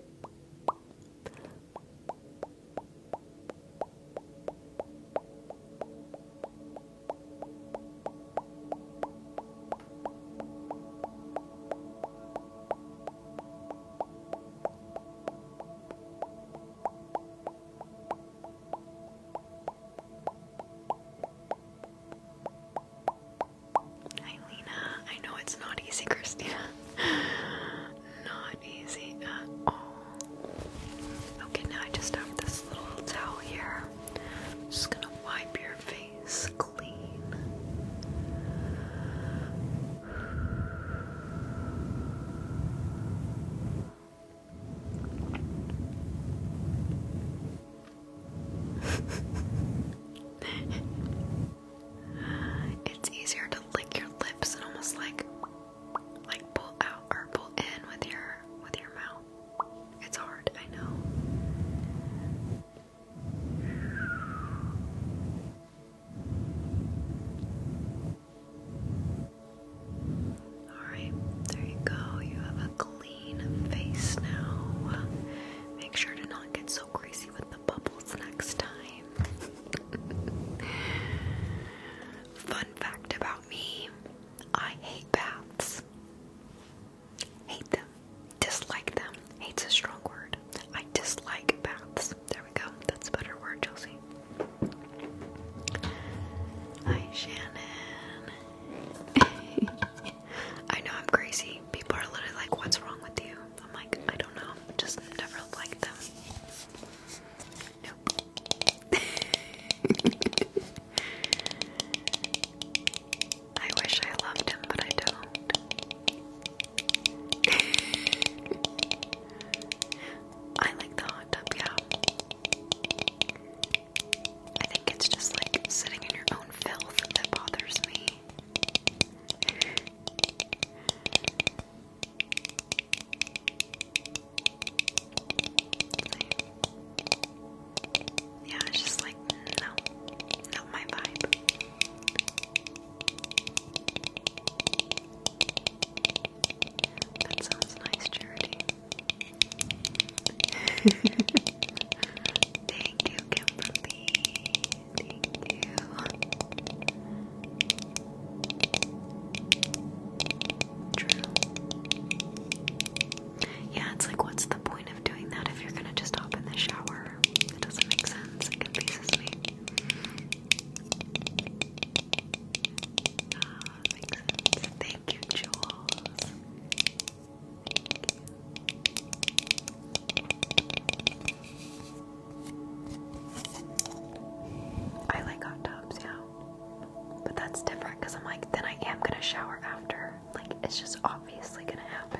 Hi I know it's not easy, Christina. not easy at all. Okay, now I just have this little towel here. just gonna wipe your face clean. it's easier to lick your lips and almost like like pull out or pull in with your with your mouth. It's hard, I know. Alright, there you go. You have a clean face now. Make sure to not get so crazy with the bubbles next time. Fun fact about me I hate baths, hate them dislike them. Hate's a strong word. I dislike baths. There we go. That's a better word, Chelsea. Hi, Shannon. I know I'm crazy. People are literally like, what's wrong with you? I'm like, I don't know. Just never like them. I wish I loved him, but I don't. I like the hot tub, yeah. I think it's just like sitting in your own filth that bothers me. Yeah, just like no, not my vibe. That sounds nice, Charity. Thank you, Kimberly. Thank you. True. Yeah, it's like, what's the point of doing that if you're gonna just hop in the shower? It doesn't make sense. Thank you, Jules. I like hot tubs, yeah. But that's different because I'm like, then I am gonna shower after. Like, it's just obviously gonna happen.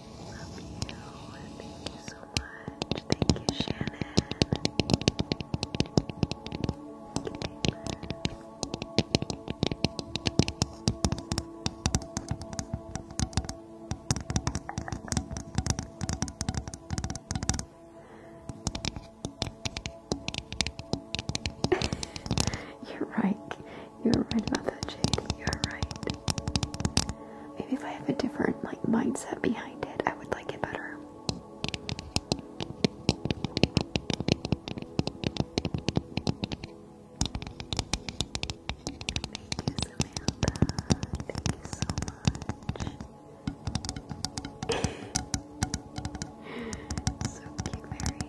Love you. Thank you so much. Thank you, Shannon. You're right. You're right about that, Jade. You're right. Maybe if I have a different like mindset behind it, I would like it better. Thank you, Samantha. Thank you so much. so cute, Mary.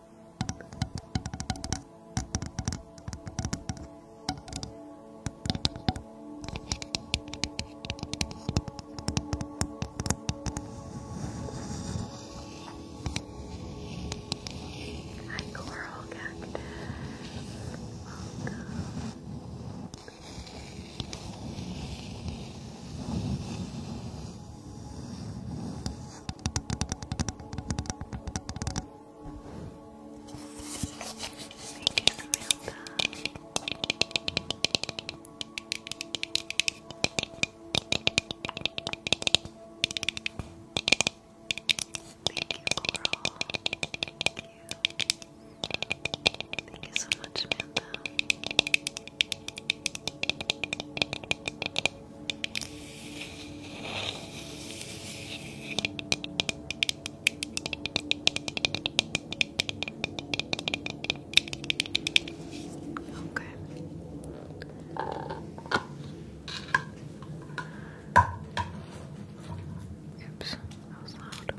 Hi, Coral Cactus. Welcome. Thank you, Samantha. Thank you, Coral. Thank you. Thank you so much, Samantha. Okay. Oops, that was loud.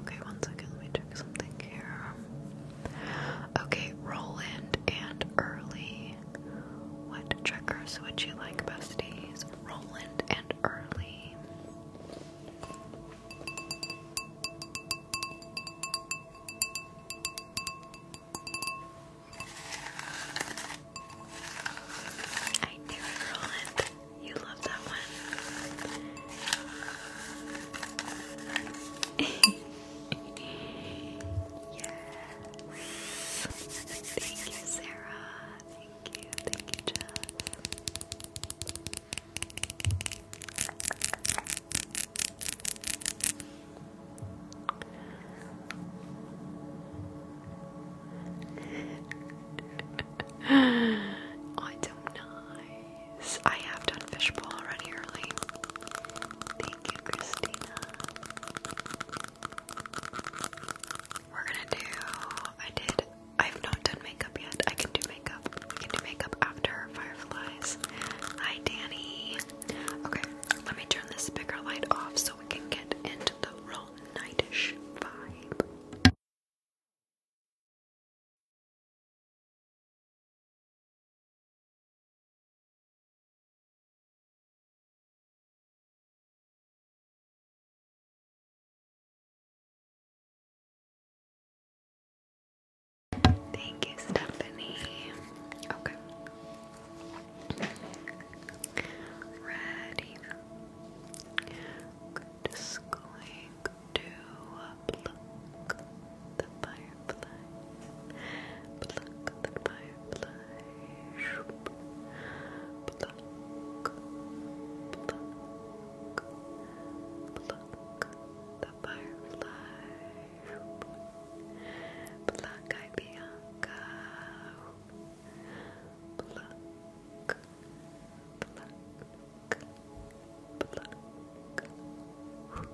Okay, one second, let me check something here. Okay, Roland and Early what triggers would you like, besties? Roland and Early. I knew it, Roland. You love that one. yes. Thank you, Sarah. Thank you, thank you, Jess. oh, it's so nice. I have done fishbowl already early. Thank you, Christina. We're gonna do. I did. I've not done makeup yet. I can do makeup. We can do makeup after Fireflies. Hi, Danny. Okay, let me turn this bigger light off so we can get into the real nightish vibe. Thank you, Stephanie. Okay. Ready. just going to pluck the firefly. Pluck the firefly. Shoop. Pluck. Pluck. Pluck. The firefly. Shoop. Pluck, I Bianca. Pluck. Pluck. Pluck. Pluck. Pluck.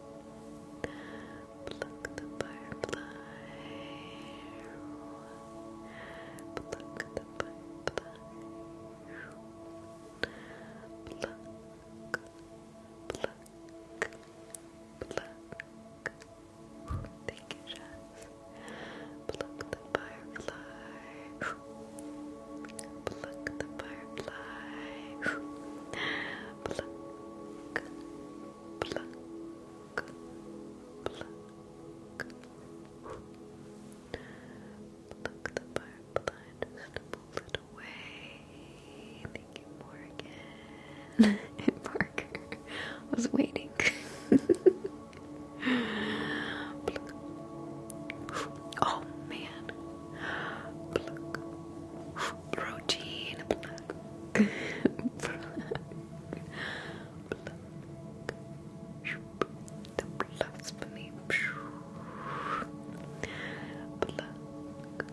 Blow the butterfly. Pluck the butterfly. Pluck, pluck, pluck. Thank you, Jess. Pluck the butterfly. Pluck the butterfly. Pluck, pluck pluck. Pluck the butterfly just to pull away. Thank you, Morgan. Parker was waiting. Oh man. Protein. Pluck. The blasphemy. Pluck. Pluck.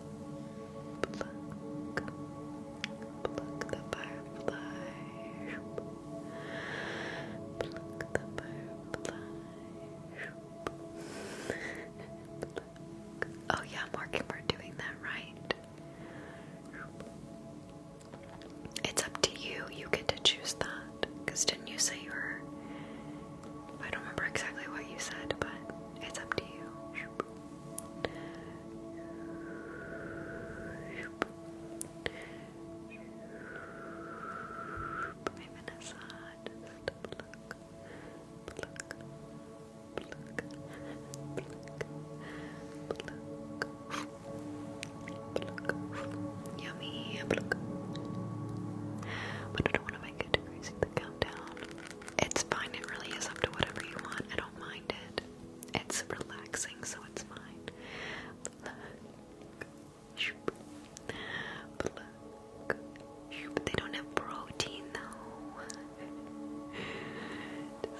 Oh yeah, Marky, we're doing that right. It's up to you. You get to choose that. Because didn't you say you were. I don't remember exactly what you said, but it's up to you. Yummy. But I don't want to make it too crazy the countdown. It's fine, it really is up to whatever you want. I don't mind it. It's relaxing, so it's fine. Pluck. They don't have protein though.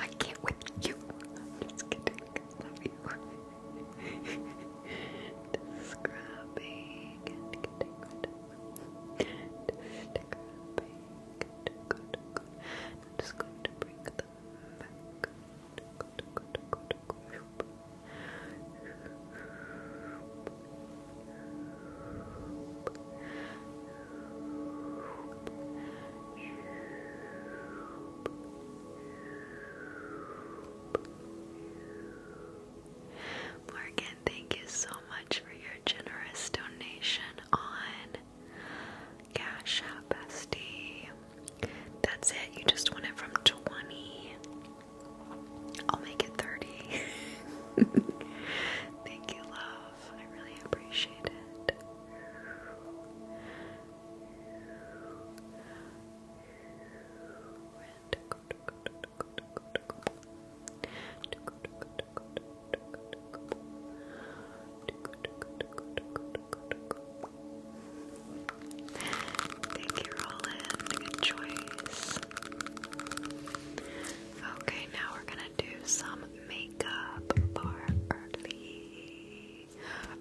I can't with you. just kidding. I just going to bring Morgan, thank you so much for your generous donation on Cash App bestie. That's it. You just want it from 20. I'll make it 30. Thank you, love. I really appreciate it. Thank you, Roland. Good choice. Okay, now we're gonna do some makeup for Early.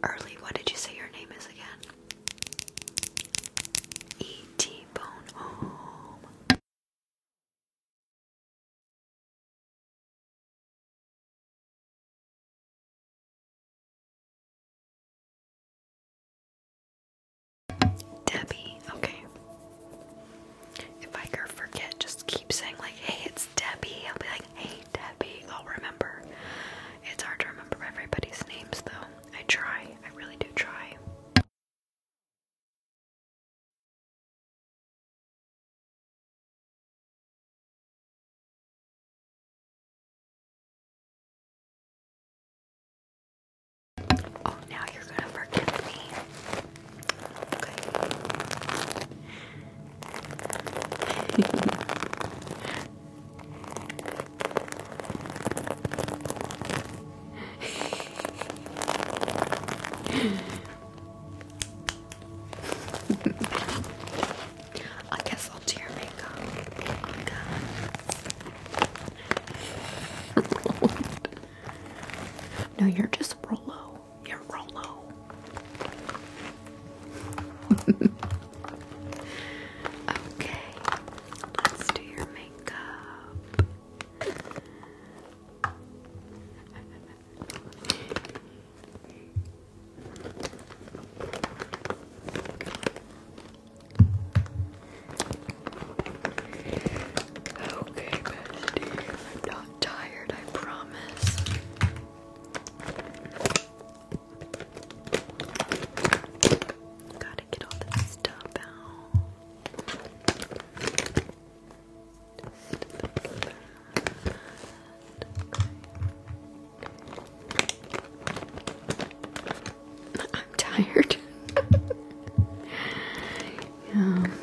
Early, what did you say your name is again? E.T. Debbie, okay. If I ever forget, just keep saying like, hey, it's Debbie. I'll be like, hey, Debbie. I'll remember. It's hard to remember everybody's names though. I try. I really do try. Oh, now you're going to forgive me. Okay. I guess I'll do your makeup. Oh, no, you're just Rolo. You're Rolo. okay. Let's do your makeup. Okay, bestie. I'm not tired, I promise. Gotta get all this stuff out. I'm tired.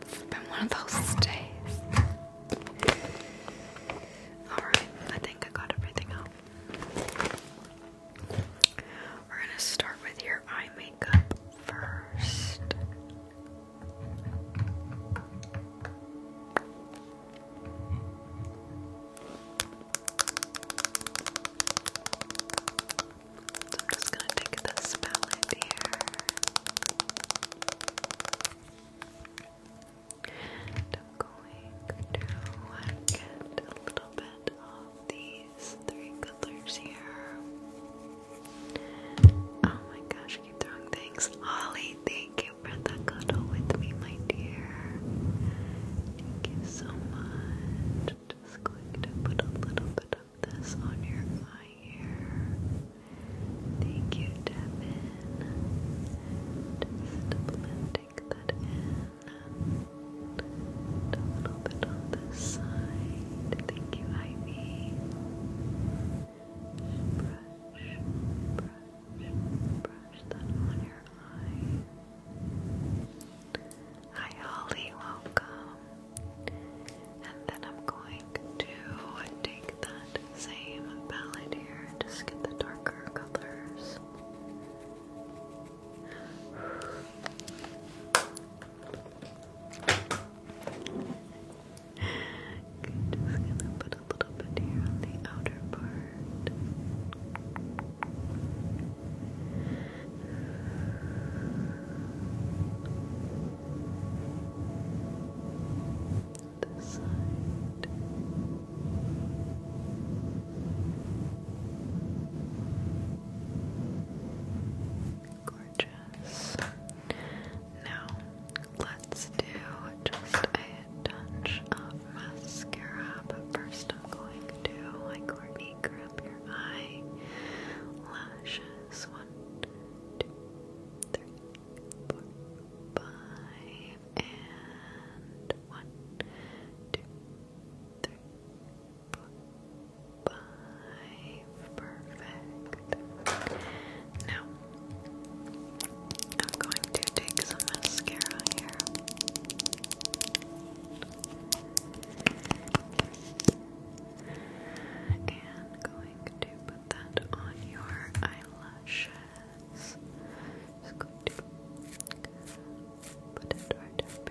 It's been one of those days. Alright, I think I got everything out. We're gonna start with your eye makeup first. So I'm just going to take this palette here. I'm going to get a little bit of these three colors here. Oh my gosh, gosh, I keep throwing things. Ollie, thank you for the cuddle with me, my dear. Thank you so much. Just going to put a little bit of this on your eye here. Thank you, Devin. Just blending that in. And a little bit on this side. Thank you, Ivy. Brush, brush. Brush that welcome. And then I'm going to take that same palette here and just get the darker colors just gonna put a little bit here on the outer part. This side. Gorgeous. Now let's do just a touch of mascara, but first I'm going to, like Courtney, grab your eye lashes. One, two, three, four, five, and one, two, three, four, five. Perfect. Now I'm going to take some mascara here. And going to put that on your eyelashes. put it right up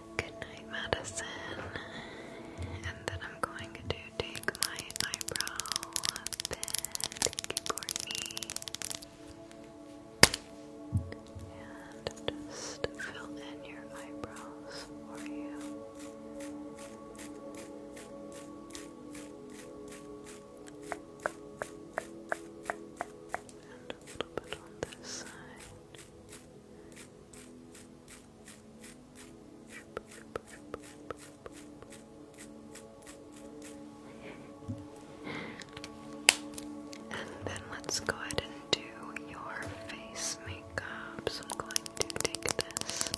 Good Night Medicine. And then I'm going to take my eyebrow pen. Thank you, And just fill in your eyebrows for you. And a little bit on this side. And then let's go ahead and do your face makeup. So I'm going to take this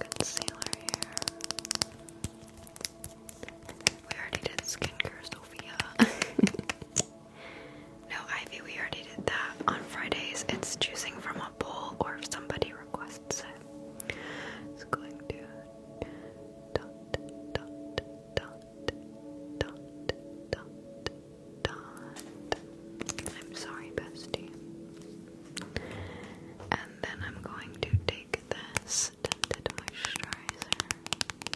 concealer here. We already did skincare, Sophia. No, Ivy, we already did that. On Fridays, it's choosing from a poll or if somebody requests it. I'm sorry, bestie. And then I'm going to take this moisturizer.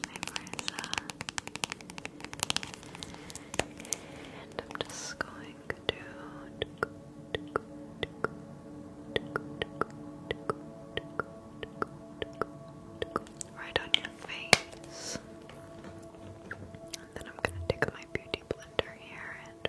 And I'm just going Right on your face. And then I'm gonna take my beauty blender here and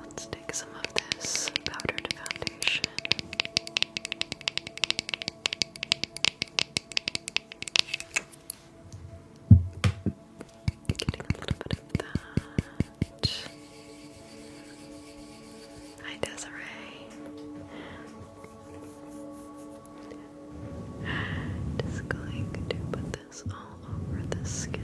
Let's take some of this powdered foundation. Getting a little bit of that. Hi, Desiree. Just going to put this all over the skin.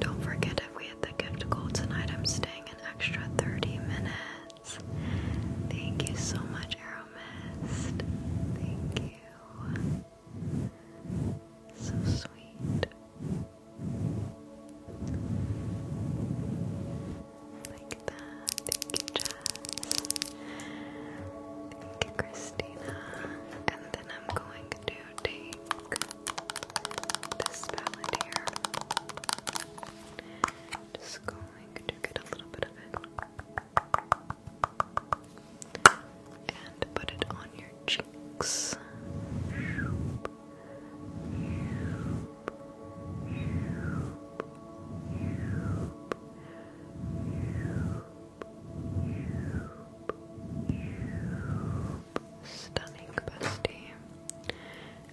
Don't forget if we hit the gift goal tonight, I'm staying an extra 30 minutes. Thank you so much, Aeromist. Thank you. So sweet. Thank you, Jess. Thank you, Christina. And then I'm going to take this palette here. Just going to get a little bit of it and put it on your cheeks. Stunning bestie.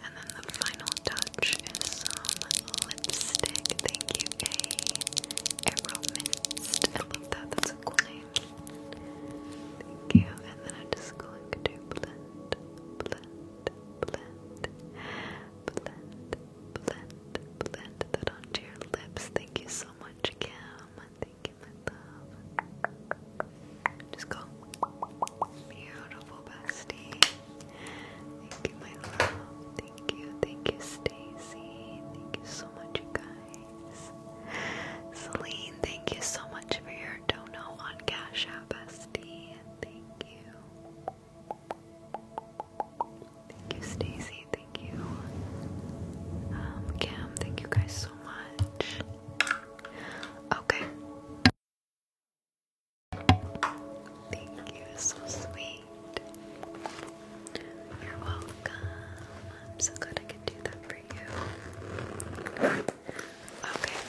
And then the final touch is some lipstick. Thank you, A. Arrow Mist. I love that. That's a cool name. Thank you. And then I'm just going to blend, blend, blend, blend, blend, blend that onto your lips. Thank you so much, Kim. Thank you, my love. Just go. Beautiful bestie. Thank you, my love. Thank you, thank you, Stacy. Thank you so much, you guys. Celine, thank you so much for your dono on Cash App SD. Thank you. Thank you, Stacy. Thank you, um, Thank you guys so much. Okay. Thank you, so sweet. You're welcome. I'm so glad I could do that Okay,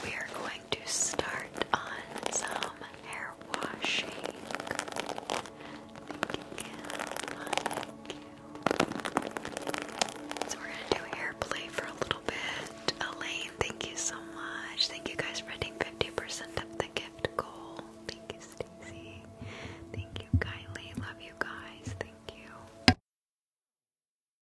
we are going to start on some hair washing. Thank you, So we're gonna do hair for a little bit. Elaine, thank you so much. Thank you guys for hitting 50% of the gift goal. Thank you, Stacy. Thank you, Kylie. Love you guys. Thank you.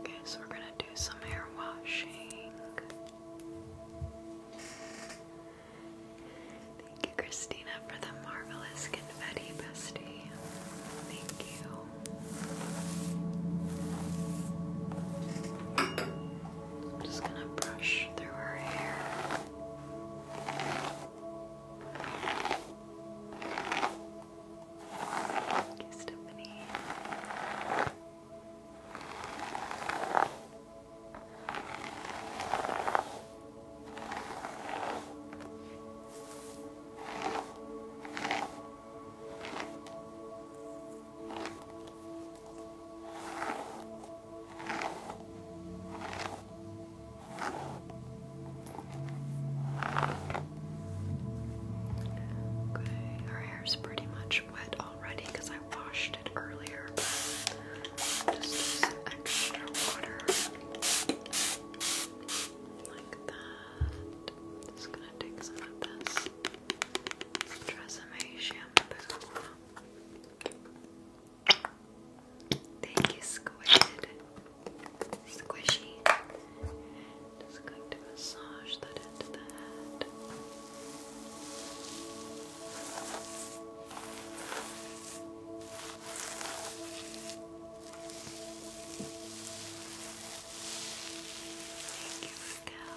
Okay, so we're going to do some hair washing. Thank you, Christina, for the marvelous confetti, bestie. Thank you. I'm just gonna brush through her hair. Okay, Stephanie. Okay, her hair's pretty much wet already because I washed it earlier. Just some extra water like that. Just gonna take some of this Tresemme shampoo. Thank you, Squishy. Just going to massage that into the head. Thank you, Raquel.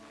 Jesse.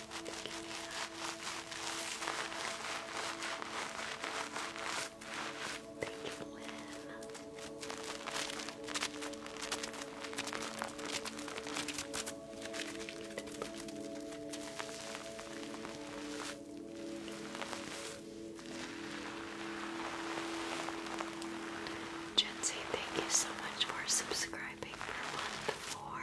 Thank you, thank you so much for subscribing for month four.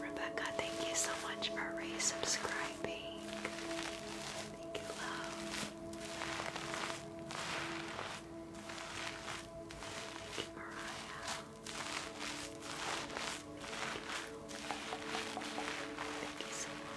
Rebecca, thank you so much for resubscribing. Thank you, love. Thank you, Mariah. Thank Thank you so much.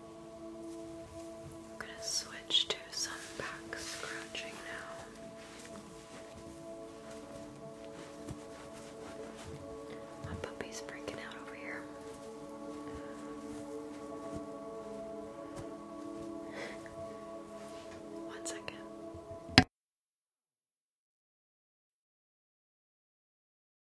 I'm gonna switch to some back scratching now. My puppy's freaking out over here. One second.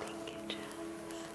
Thank you, Jess.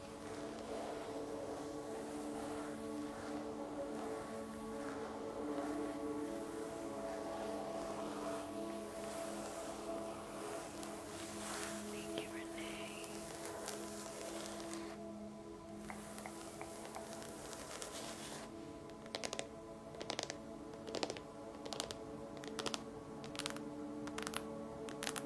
Thank you, Renee. Thank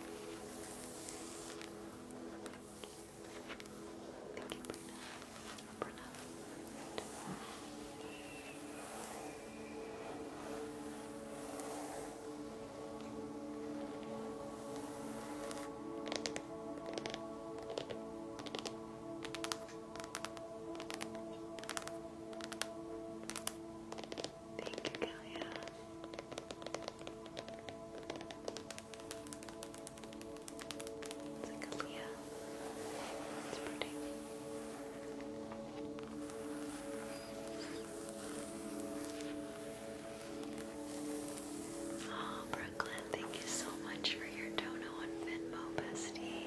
Thank you, Brina. Brina. Thank Thank you, Kalia. It's like It's pretty. Oh, Brooklyn, thank you so much for your dono on Venmo, bestie.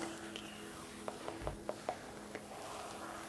Thank you.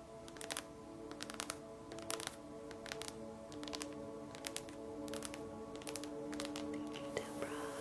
Thank you, Deborah. Thank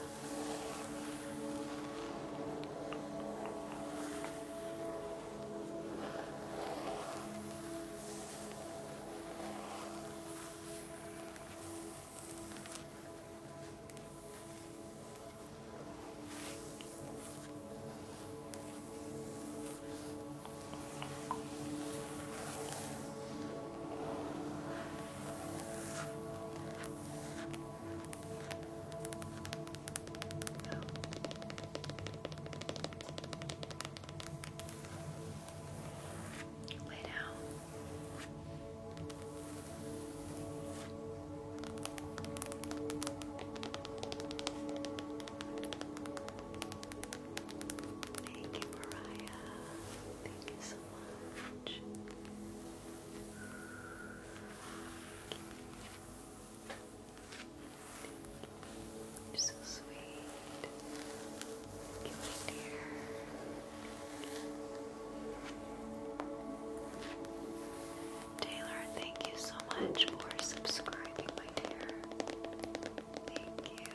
Lay down. Good. Thank you, Mariah. Thank you so much. You're so sweet. Thank you, my dear. Taylor, thank you so much for subscribing, my dear. Thank you. Lay down.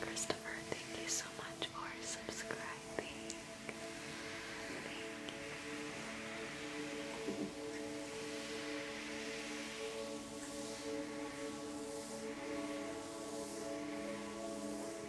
Christopher, thank you so much for subscribing.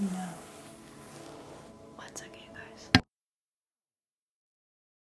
No. One second, guys.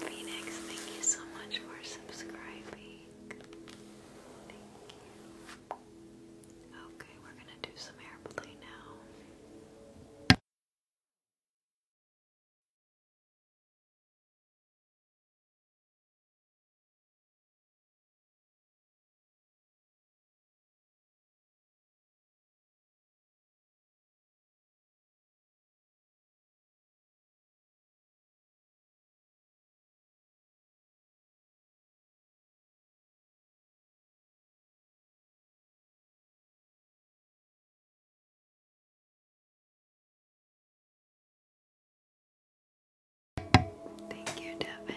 Phoenix, thank you so much for subscribing. Okay, we're going to do some airplay now. Thank you, Devin.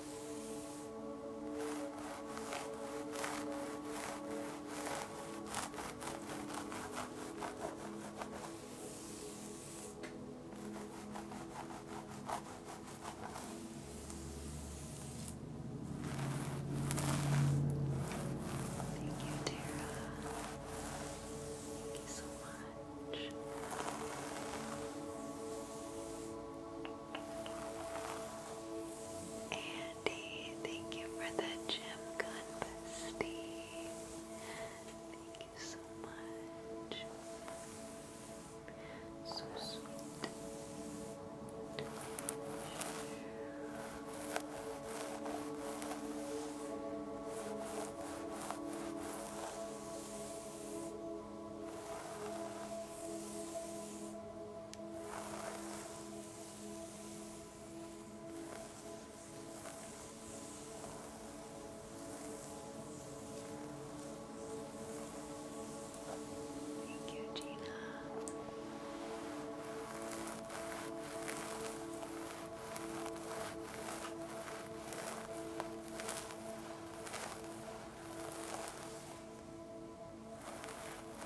Thank you, Tara. Thank you so much. Andy, thank you for the gym gun bestie. Thank you so much. So sweet. Thank you, Gina.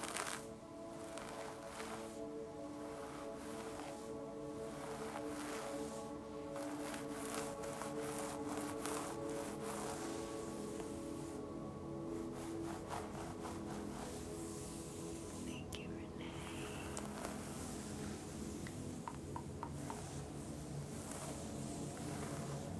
Thank Thank you, Renee. Thank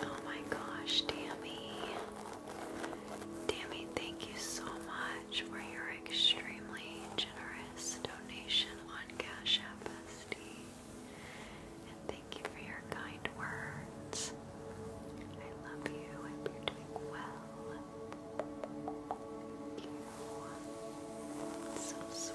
Oh my gosh, Tammy. Tammy, thank you so much for your extremely generous donation on Cash App And thank you for your kind words. I love you. I you're doing well. so sweet.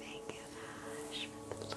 Thank you, Ash, for the light. Thank you. Thank you.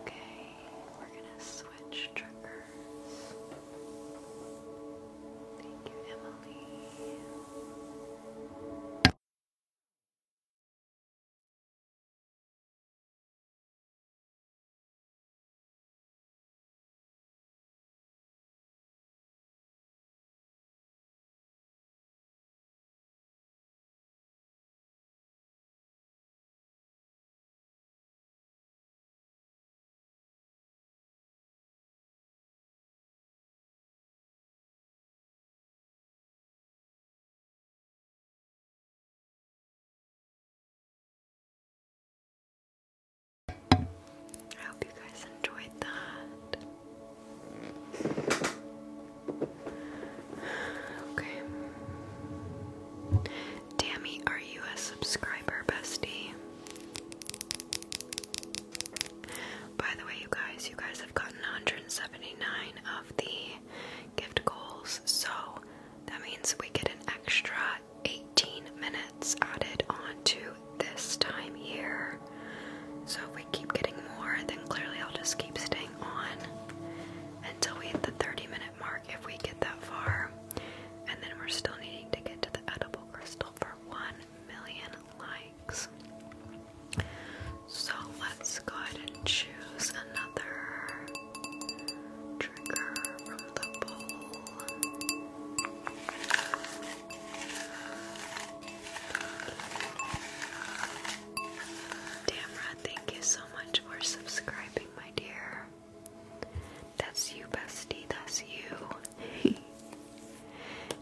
Okay, we're going to switch triggers. Thank you, Emily. I hope you guys enjoyed that. Okay. Tammy, are you a subscriber, bestie? By the way, you guys, you guys have gotten 179 of the gift goals, so that means we get an extra 18 minutes added on to this time here. So if we keep getting more, then clearly I'll just keep staying on until we hit the 30 minute mark if we get that far. And then we're still needing to get to the edible crystal for 1 million likes. So let's go ahead and choose another trigger from the bowl. Tamra, thank you so much for subscribing, my dear. That's you, bestie. That's you.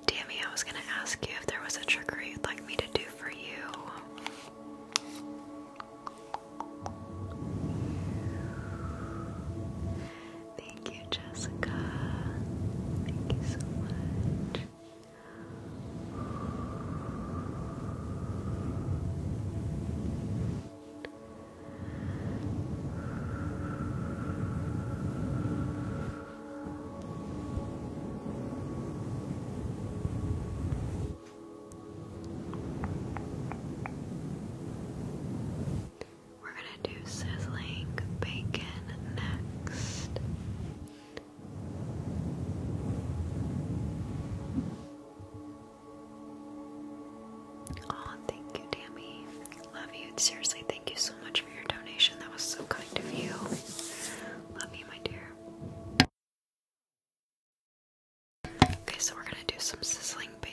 Tammy, I was gonna ask you if there was a trickery you'd like me to do for you. Thank you, Jessica. Thank you so much. We're going to do sizzling bacon next. Oh, thank you, Tammy. Love you. Seriously, thank you so much for your donation. That was so kind of you. Love you, my dear. Okay, so we're gonna do some sizzling bacon.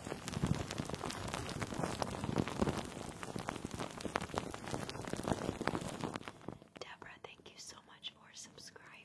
Deborah, thank you so much for subscribing.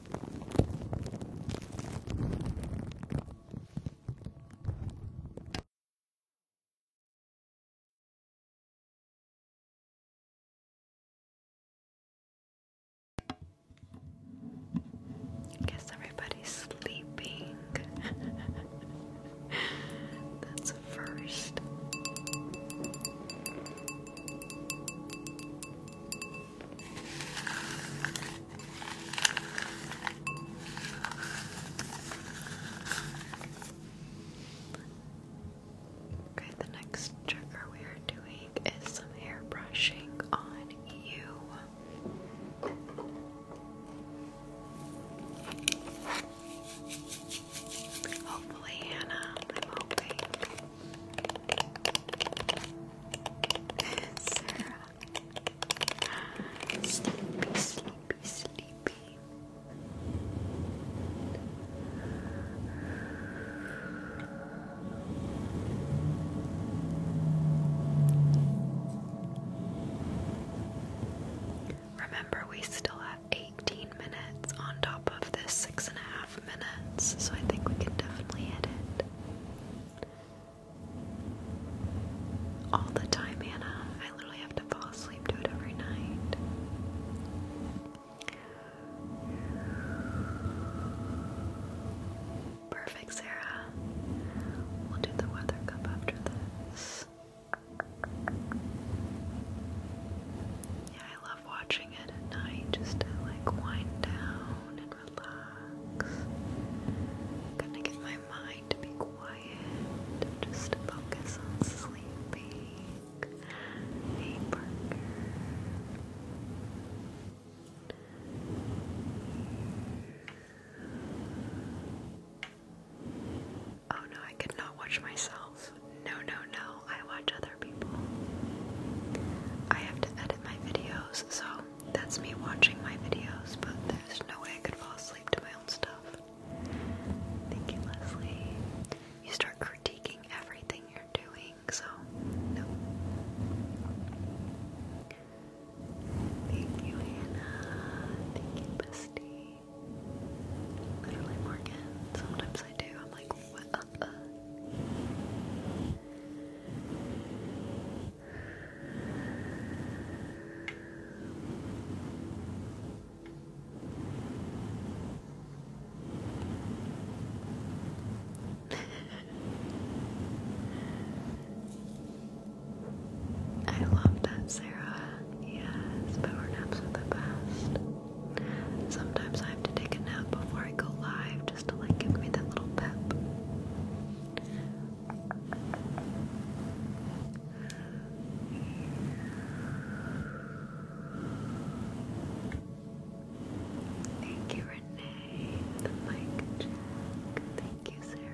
I Guess everybody's sleeping. That's first. Okay, the next trigger we are doing is some hair brushing on you. Hopefully, Hannah, Sarah. Sleepy, sleepy, sleepy. Remember, we still have 18 minutes on top of this six and a half minutes, so I think we can definitely hit it all the time, Hannah. I literally have to fall asleep to it every night. Perfect, Sarah. We'll do the weather cup after this. Yeah, I love watching it at night just to like wind down relax. i gonna get my mind to be quiet, just focus on sleeping. Hey, Parker. Oh no, I could not watch myself. No, no, no. I watch other people. I have to edit my videos, so that's me watching my videos, but there's no way I could fall asleep to my own stuff. Thank you, Leslie. You start critiquing everything you're doing, so no. Thank you, Hannah. Thank you, Bestie. Literally, Morgan. Sometimes I do. I'm like, what? I love that, Sarah. Yes, power naps are the best. Sometimes I have to take a nap before I go live just to like give me that little pep. Thank you, Renee. The mic check. Thank you, Sarah.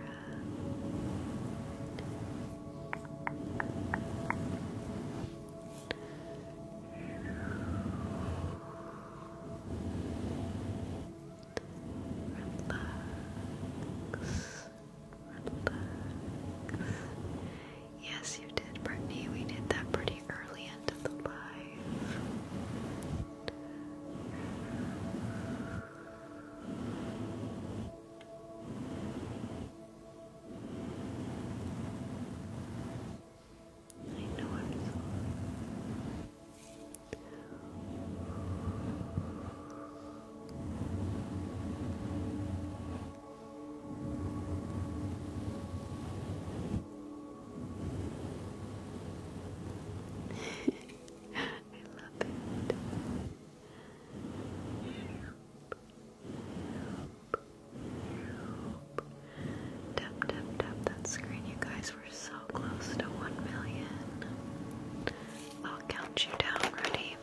Relax. Relax. Yes, you did, Brittany. We did that pretty early into the live. I know I'm I love it. Help, help, help. that screen, you guys we're so close to 1 million. I'll count you down. Ready?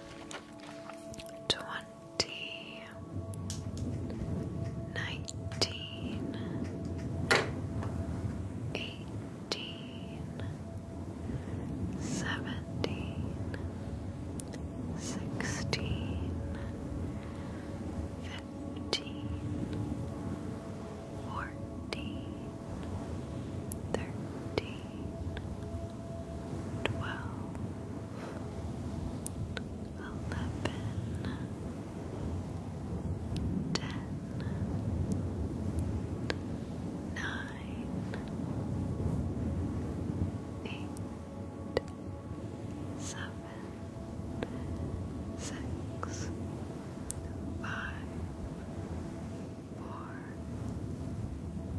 20, 19, 18, 17, 16, 15, fourteen, thirteen, twelve, eleven, ten, nine, eight, seven, six. 5 five, four,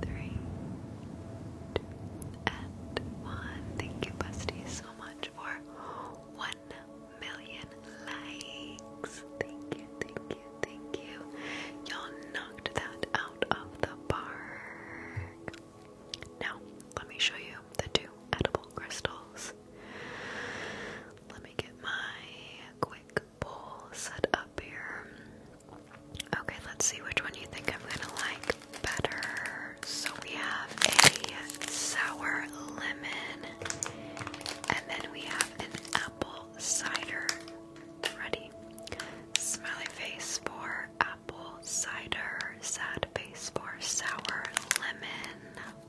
three, two, and one. Thank you, Busty, so much for one million likes. Thank you, thank you, thank you. Y'all knocked that out of the park. Now, let me show you the two edible crystals let me get my quick bowl set up here. Okay, let's see which one you think I'm gonna like better. So we have a sour lemon, and then we have an apple cider. Ready? Smiley face for apple cider, sad face for sour lemon.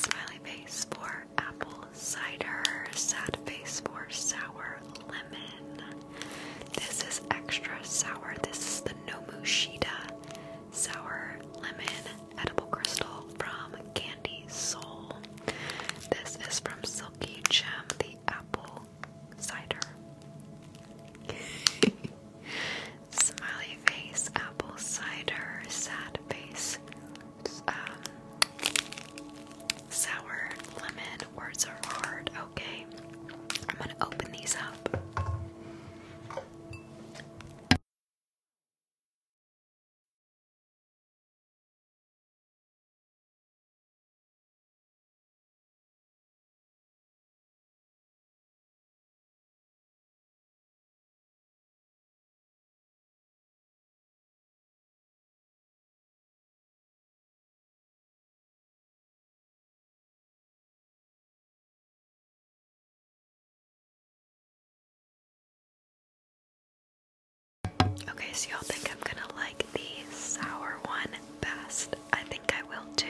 Smiley face for apple cider. Sad face for sour lemon. This is extra sour. This is the Nomushita sour lemon edible crystal from Candy Soul. This is from Silky Gem, the apple cider. Smiley face, apple cider, sad face, uh, sour lemon. Words are hard, okay? I'm gonna open these up. Okay, so y'all think I'm gonna like the sour one best. I think I will too.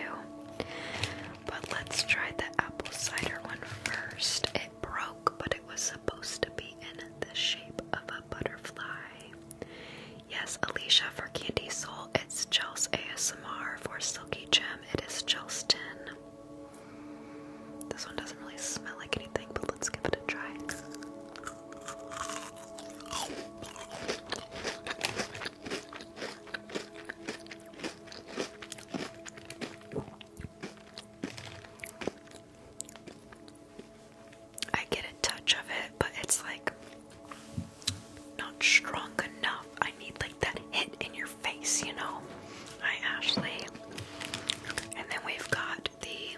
But let's try the apple cider one first broke, but it was supposed to be in the shape of a butterfly. Yes, Alicia, for Candy Soul, it's Chels ASMR. For Silky Gem, it is Chelston. This one doesn't really smell like anything, but let's give it a try. I get a touch of it, but it's like not strong enough. I need like that hit in your face, you know. Hi, Ashley. And then we've got the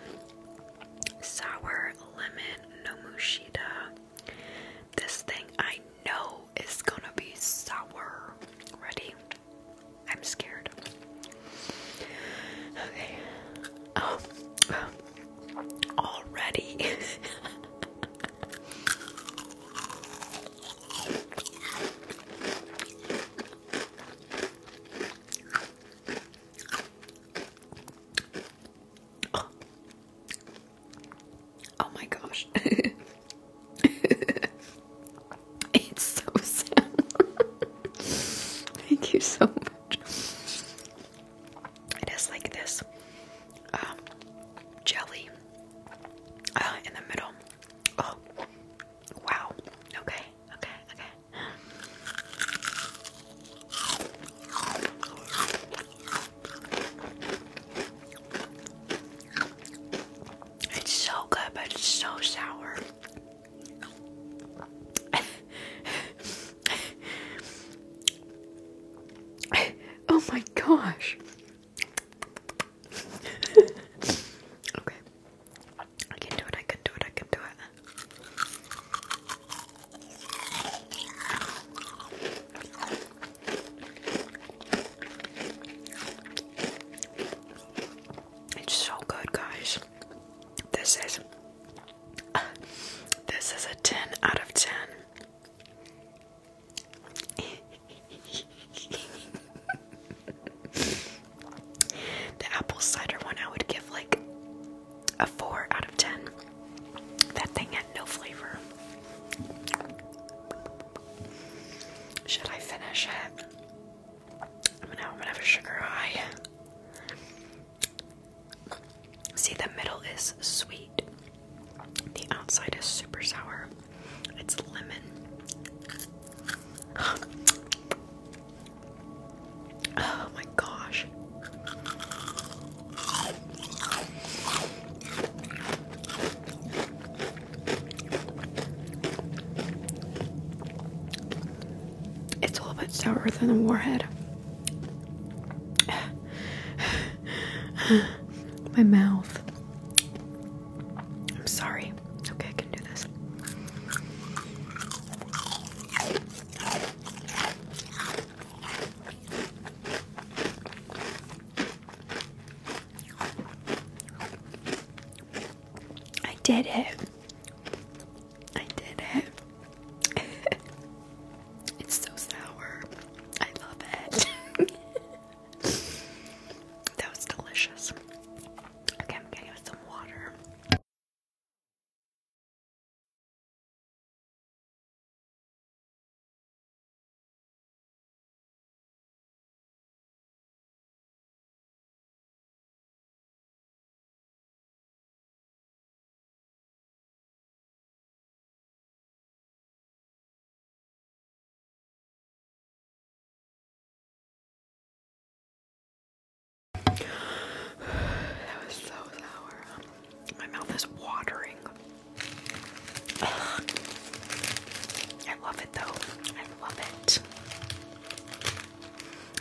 sour lemon nomushita. This thing I know is gonna be sour. Ready? I'm scared. Okay. Um, um, oh, already. oh. my gosh. It's so sad. Thank you so much. It is like this um, jelly uh, in the middle. Oh, wow. Okay, okay, okay. It's so good, but it's so sour. oh my gosh. okay. I can do it, I can do it, I can do it. It's so good, guys. This is this is a 10 out of 10. the apple cider one I would give like a 4 out of 10. That thing had no flavor. Should I finish it? I'm gonna, have a sugar high. See, the middle is sweet, the outside is super sour. It's lemon. Oh my gosh. It's a little bit sourer than a warhead. My mouth. I'm sorry. okay, I can do this. I did it. I did it. it's so sour. I love it. that was delicious. Okay, I'm getting some water. That was so sour. My mouth is watering. I love it though. I love it.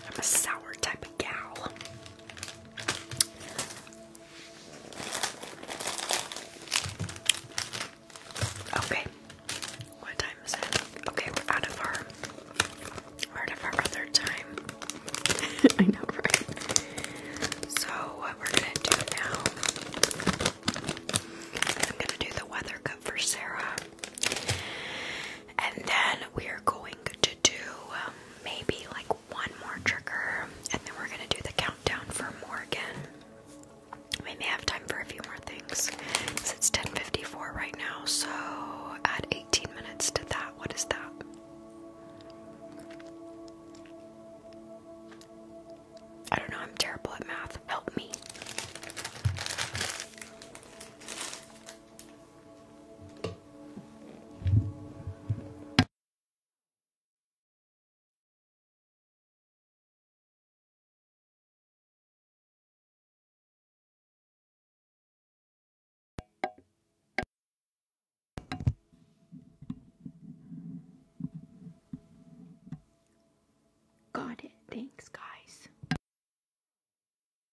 I'm a sour type of gal. Okay. What time is it? Okay, we're out of our out of our other time. I know, right? So what we're gonna do now I'm gonna do the weather cup for Sarah. And then we are going to do um, maybe like one more trigger, and then we're gonna do the countdown for Morgan. We may have time for a few more things. it's 10:54 right now, so at 18 minutes to that. What is that? I don't know, I'm terrible at math. Help me. Got it. Thanks, guys.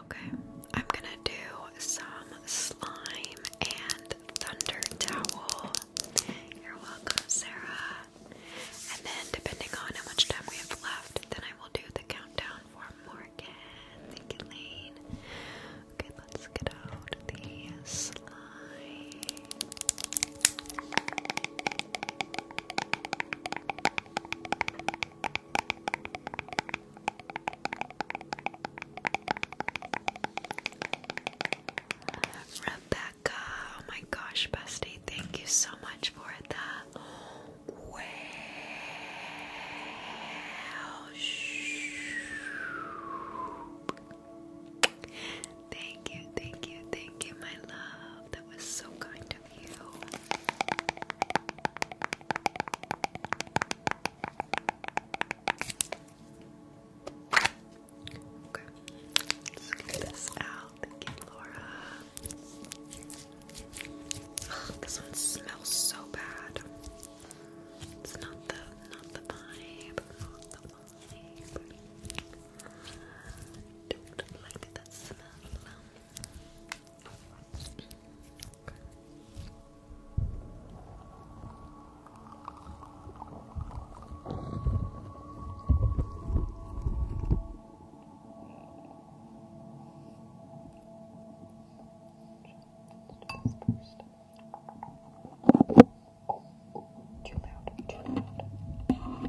Okay, I'm gonna do some slime and thunder towel. You're welcome, Sarah. And then, depending on how much time we have left, then I will do the countdown for Morgan. Thank you, Okay, let's get out the slime. Rebecca, oh my gosh, bestie, thank you so much for the Thank you, thank you, thank you, my love. That was so kind of Okay, let's get this out. Thank you, Laura. this one smells so bad. It's not the not the vibe. Not the vibe. Don't like that smell. Too loud, too loud. Okay.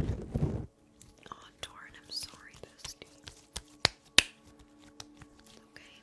Oh, Torn, I'm sorry, bestie. Okay.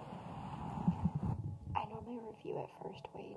I normally review it first, Wade.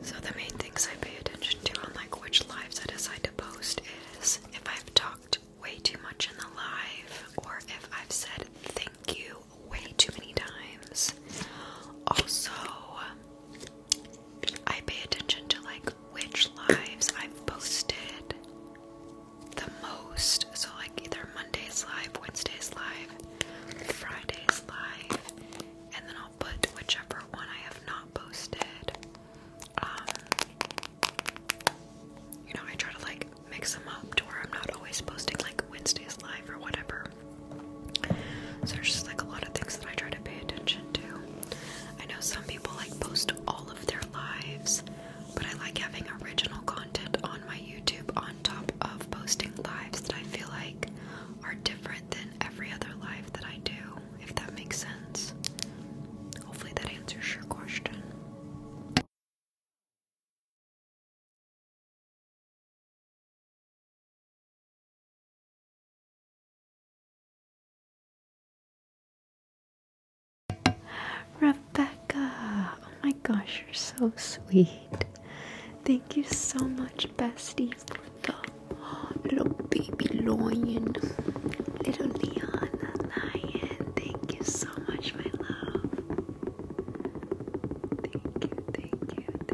So the main things I pay attention to on like which lives I decide to post is if I've talked way too much in the live, or if I've said thank you way too many times. Also, I pay attention to like which lives I've posted the most. So, like either Monday's live, Wednesday's live, Friday's live, and then I'll put whichever one I have not posted um, you know, I try to like mix them up to where I'm not always posting like Wednesdays live or whatever. So there's just like a lot of things that I try to pay attention to. I know some people like post all of their lives, but I like having original content on my YouTube on top of posting lives that I feel like are different than every other life that I do, if that makes sense. Hopefully that answers your question. Rebecca, oh my gosh, you're so sweet. Thank you so much, bestie, for the little baby lion. Little Leon lion. Thank you so much, my love thank you, thank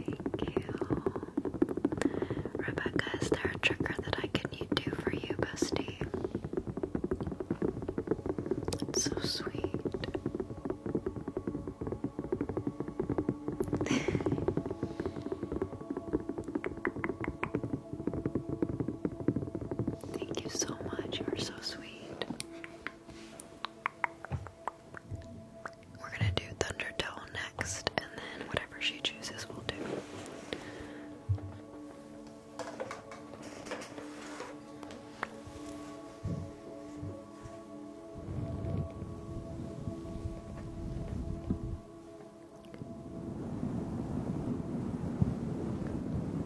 you. Rebecca, is there a trigger that I can do for you, bestie? It's so sweet. Thank you so much. You are so sweet. We're gonna do Thundertone next, and then whatever she chooses, we'll do.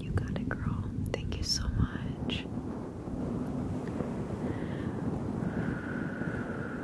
You got it, girl. Thank you so much.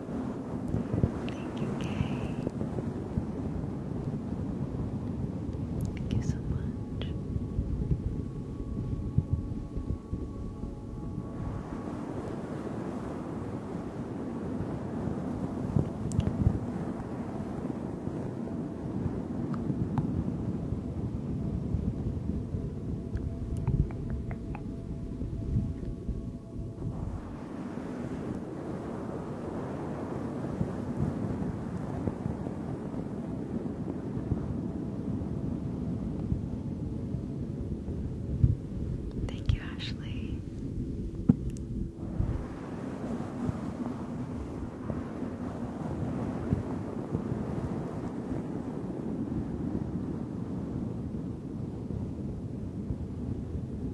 Thank you, Kay. Thank you so much. Thank you, Ashley.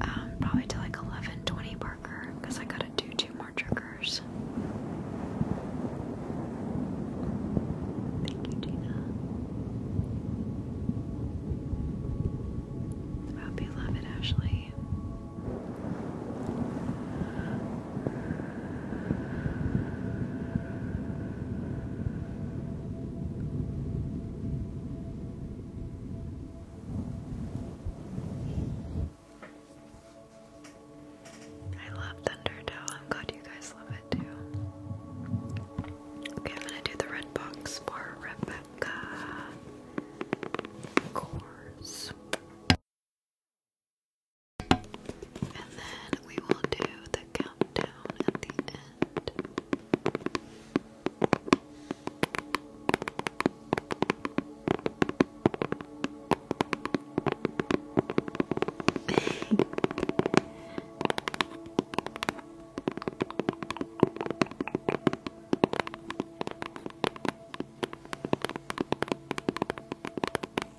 Um, probably to like 11:20 Parker, because I gotta do two more triggers. Thank you, Gina. I hope you Ashley. I love Thunderdome. I'm glad you guys love it too. Okay, I'm gonna do the red box for Rebecca. Of course. And then we will do the countdown at the end. I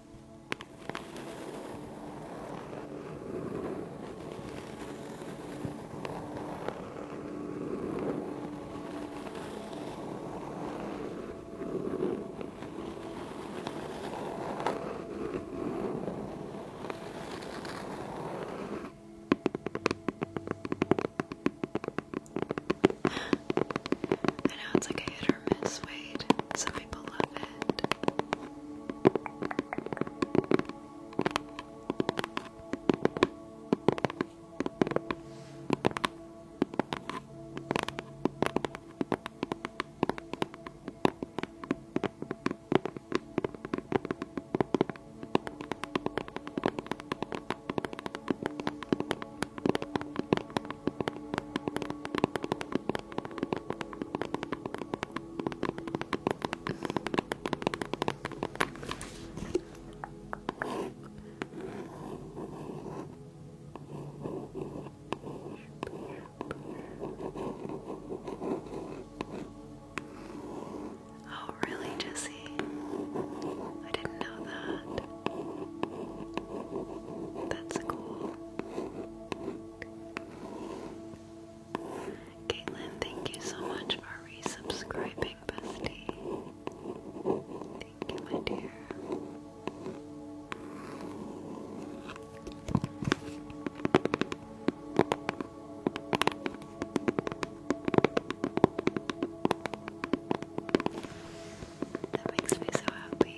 know it's like a hit or. Miss Wade, so my beloved. Oh, really, Jesse? I didn't know that. That's cool. Caitlin, thank you so much for resubscribing, bestie. Thank you, my dear. That makes me so happy.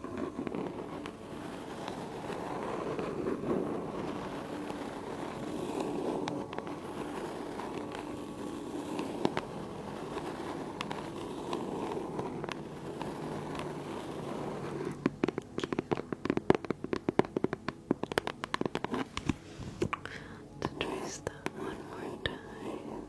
Thank you. To trace that one more time.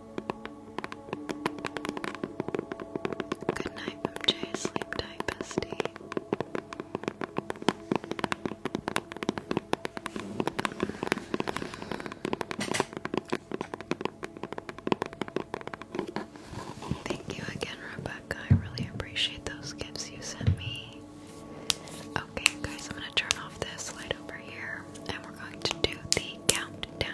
Good night from Jay. Sleep tight, bestie. Thank you again, Rebecca. I really appreciate those gifts you sent me. Okay, guys, I'm going to turn off this light over here and we're going to do the countdown.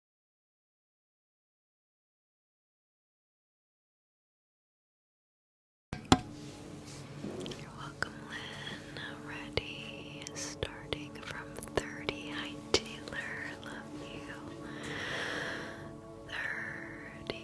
You're welcome, Lynn. Ready, starting from 30. Hi, Taylor. Love you. 30.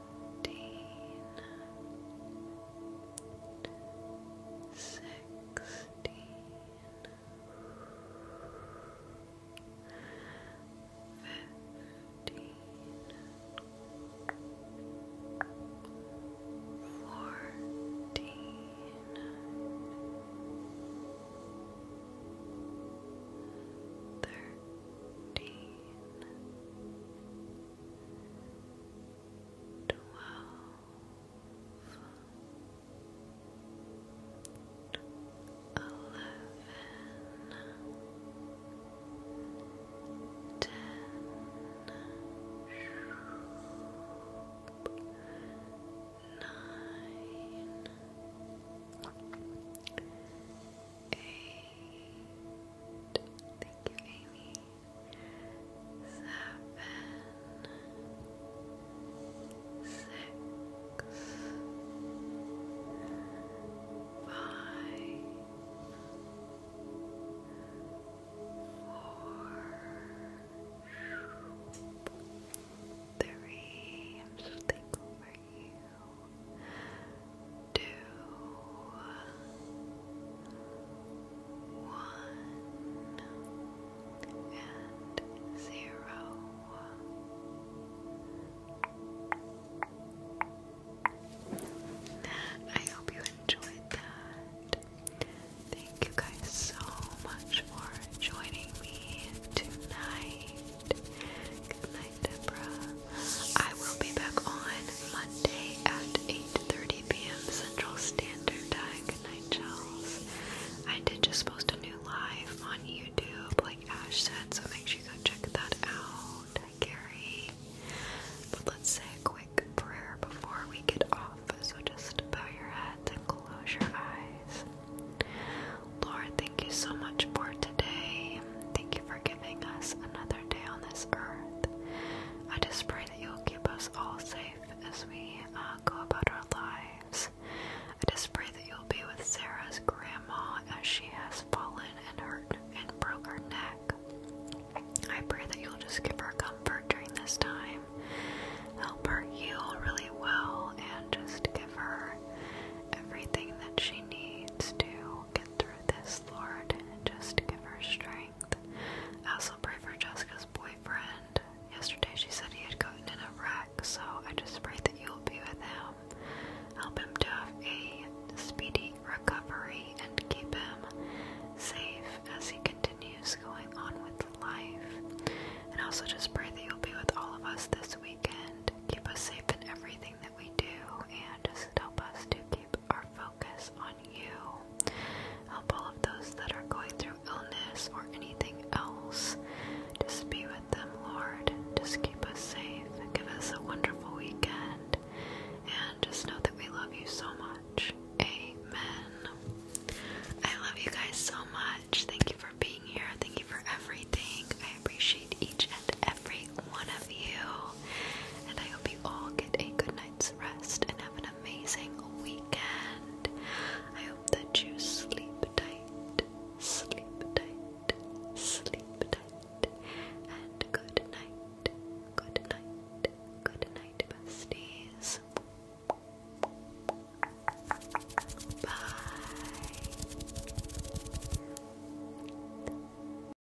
seventeen, sixteen, fifteen, fourteen. Thirteen, twelve, eleven, ten, nine eight. Thank you, Amy. Seven, six, five, four, three. I'm so thankful for you two, one, and zero. I hope you enjoyed that. Thank you guys so much for joining me tonight. Good night night, I will be back on Monday at 8.30 p.m. Central Standard Time. Charles. I did just post a new live on YouTube, like Ash said, so make sure you go check that out. Gary. But let's say a quick prayer before we get off, so just bow your heads and close your eyes. Lord, thank you so much for today. Thank for giving us another day on this earth. I just pray that you'll keep us all safe as we uh, go about our lives. I just pray that you'll be with Sarah's grandma as she has fallen and hurt and broke her neck. I pray that you'll just give her comfort during this time, help her heal really well, and just give her everything that she needs to get through this Lord, just give her strength. I also pray for Jessica's boyfriend. Yesterday she said he had gotten in a wreck, so I just pray that you'll be with him. Help him to have a speedy recovery and keep him safe as he continues going on with life. And also just pray that you'll be with all of us this weekend. Keep us safe in everything that we do and just help us to keep our focus on you. Help all of those that are going through illness or anything else. Just be with them, Lord. Just keep us safe. Give us a wonderful weekend. And just know that we love you so much. Amen. I love you guys so much. Thank you for being here. Thank you for everything. I appreciate each and every every one of you. And I hope you all get a good night's rest and have an amazing weekend. I hope that you sleep tight, sleep tight, sleep tight. And good night, good night, good night, besties. Bye.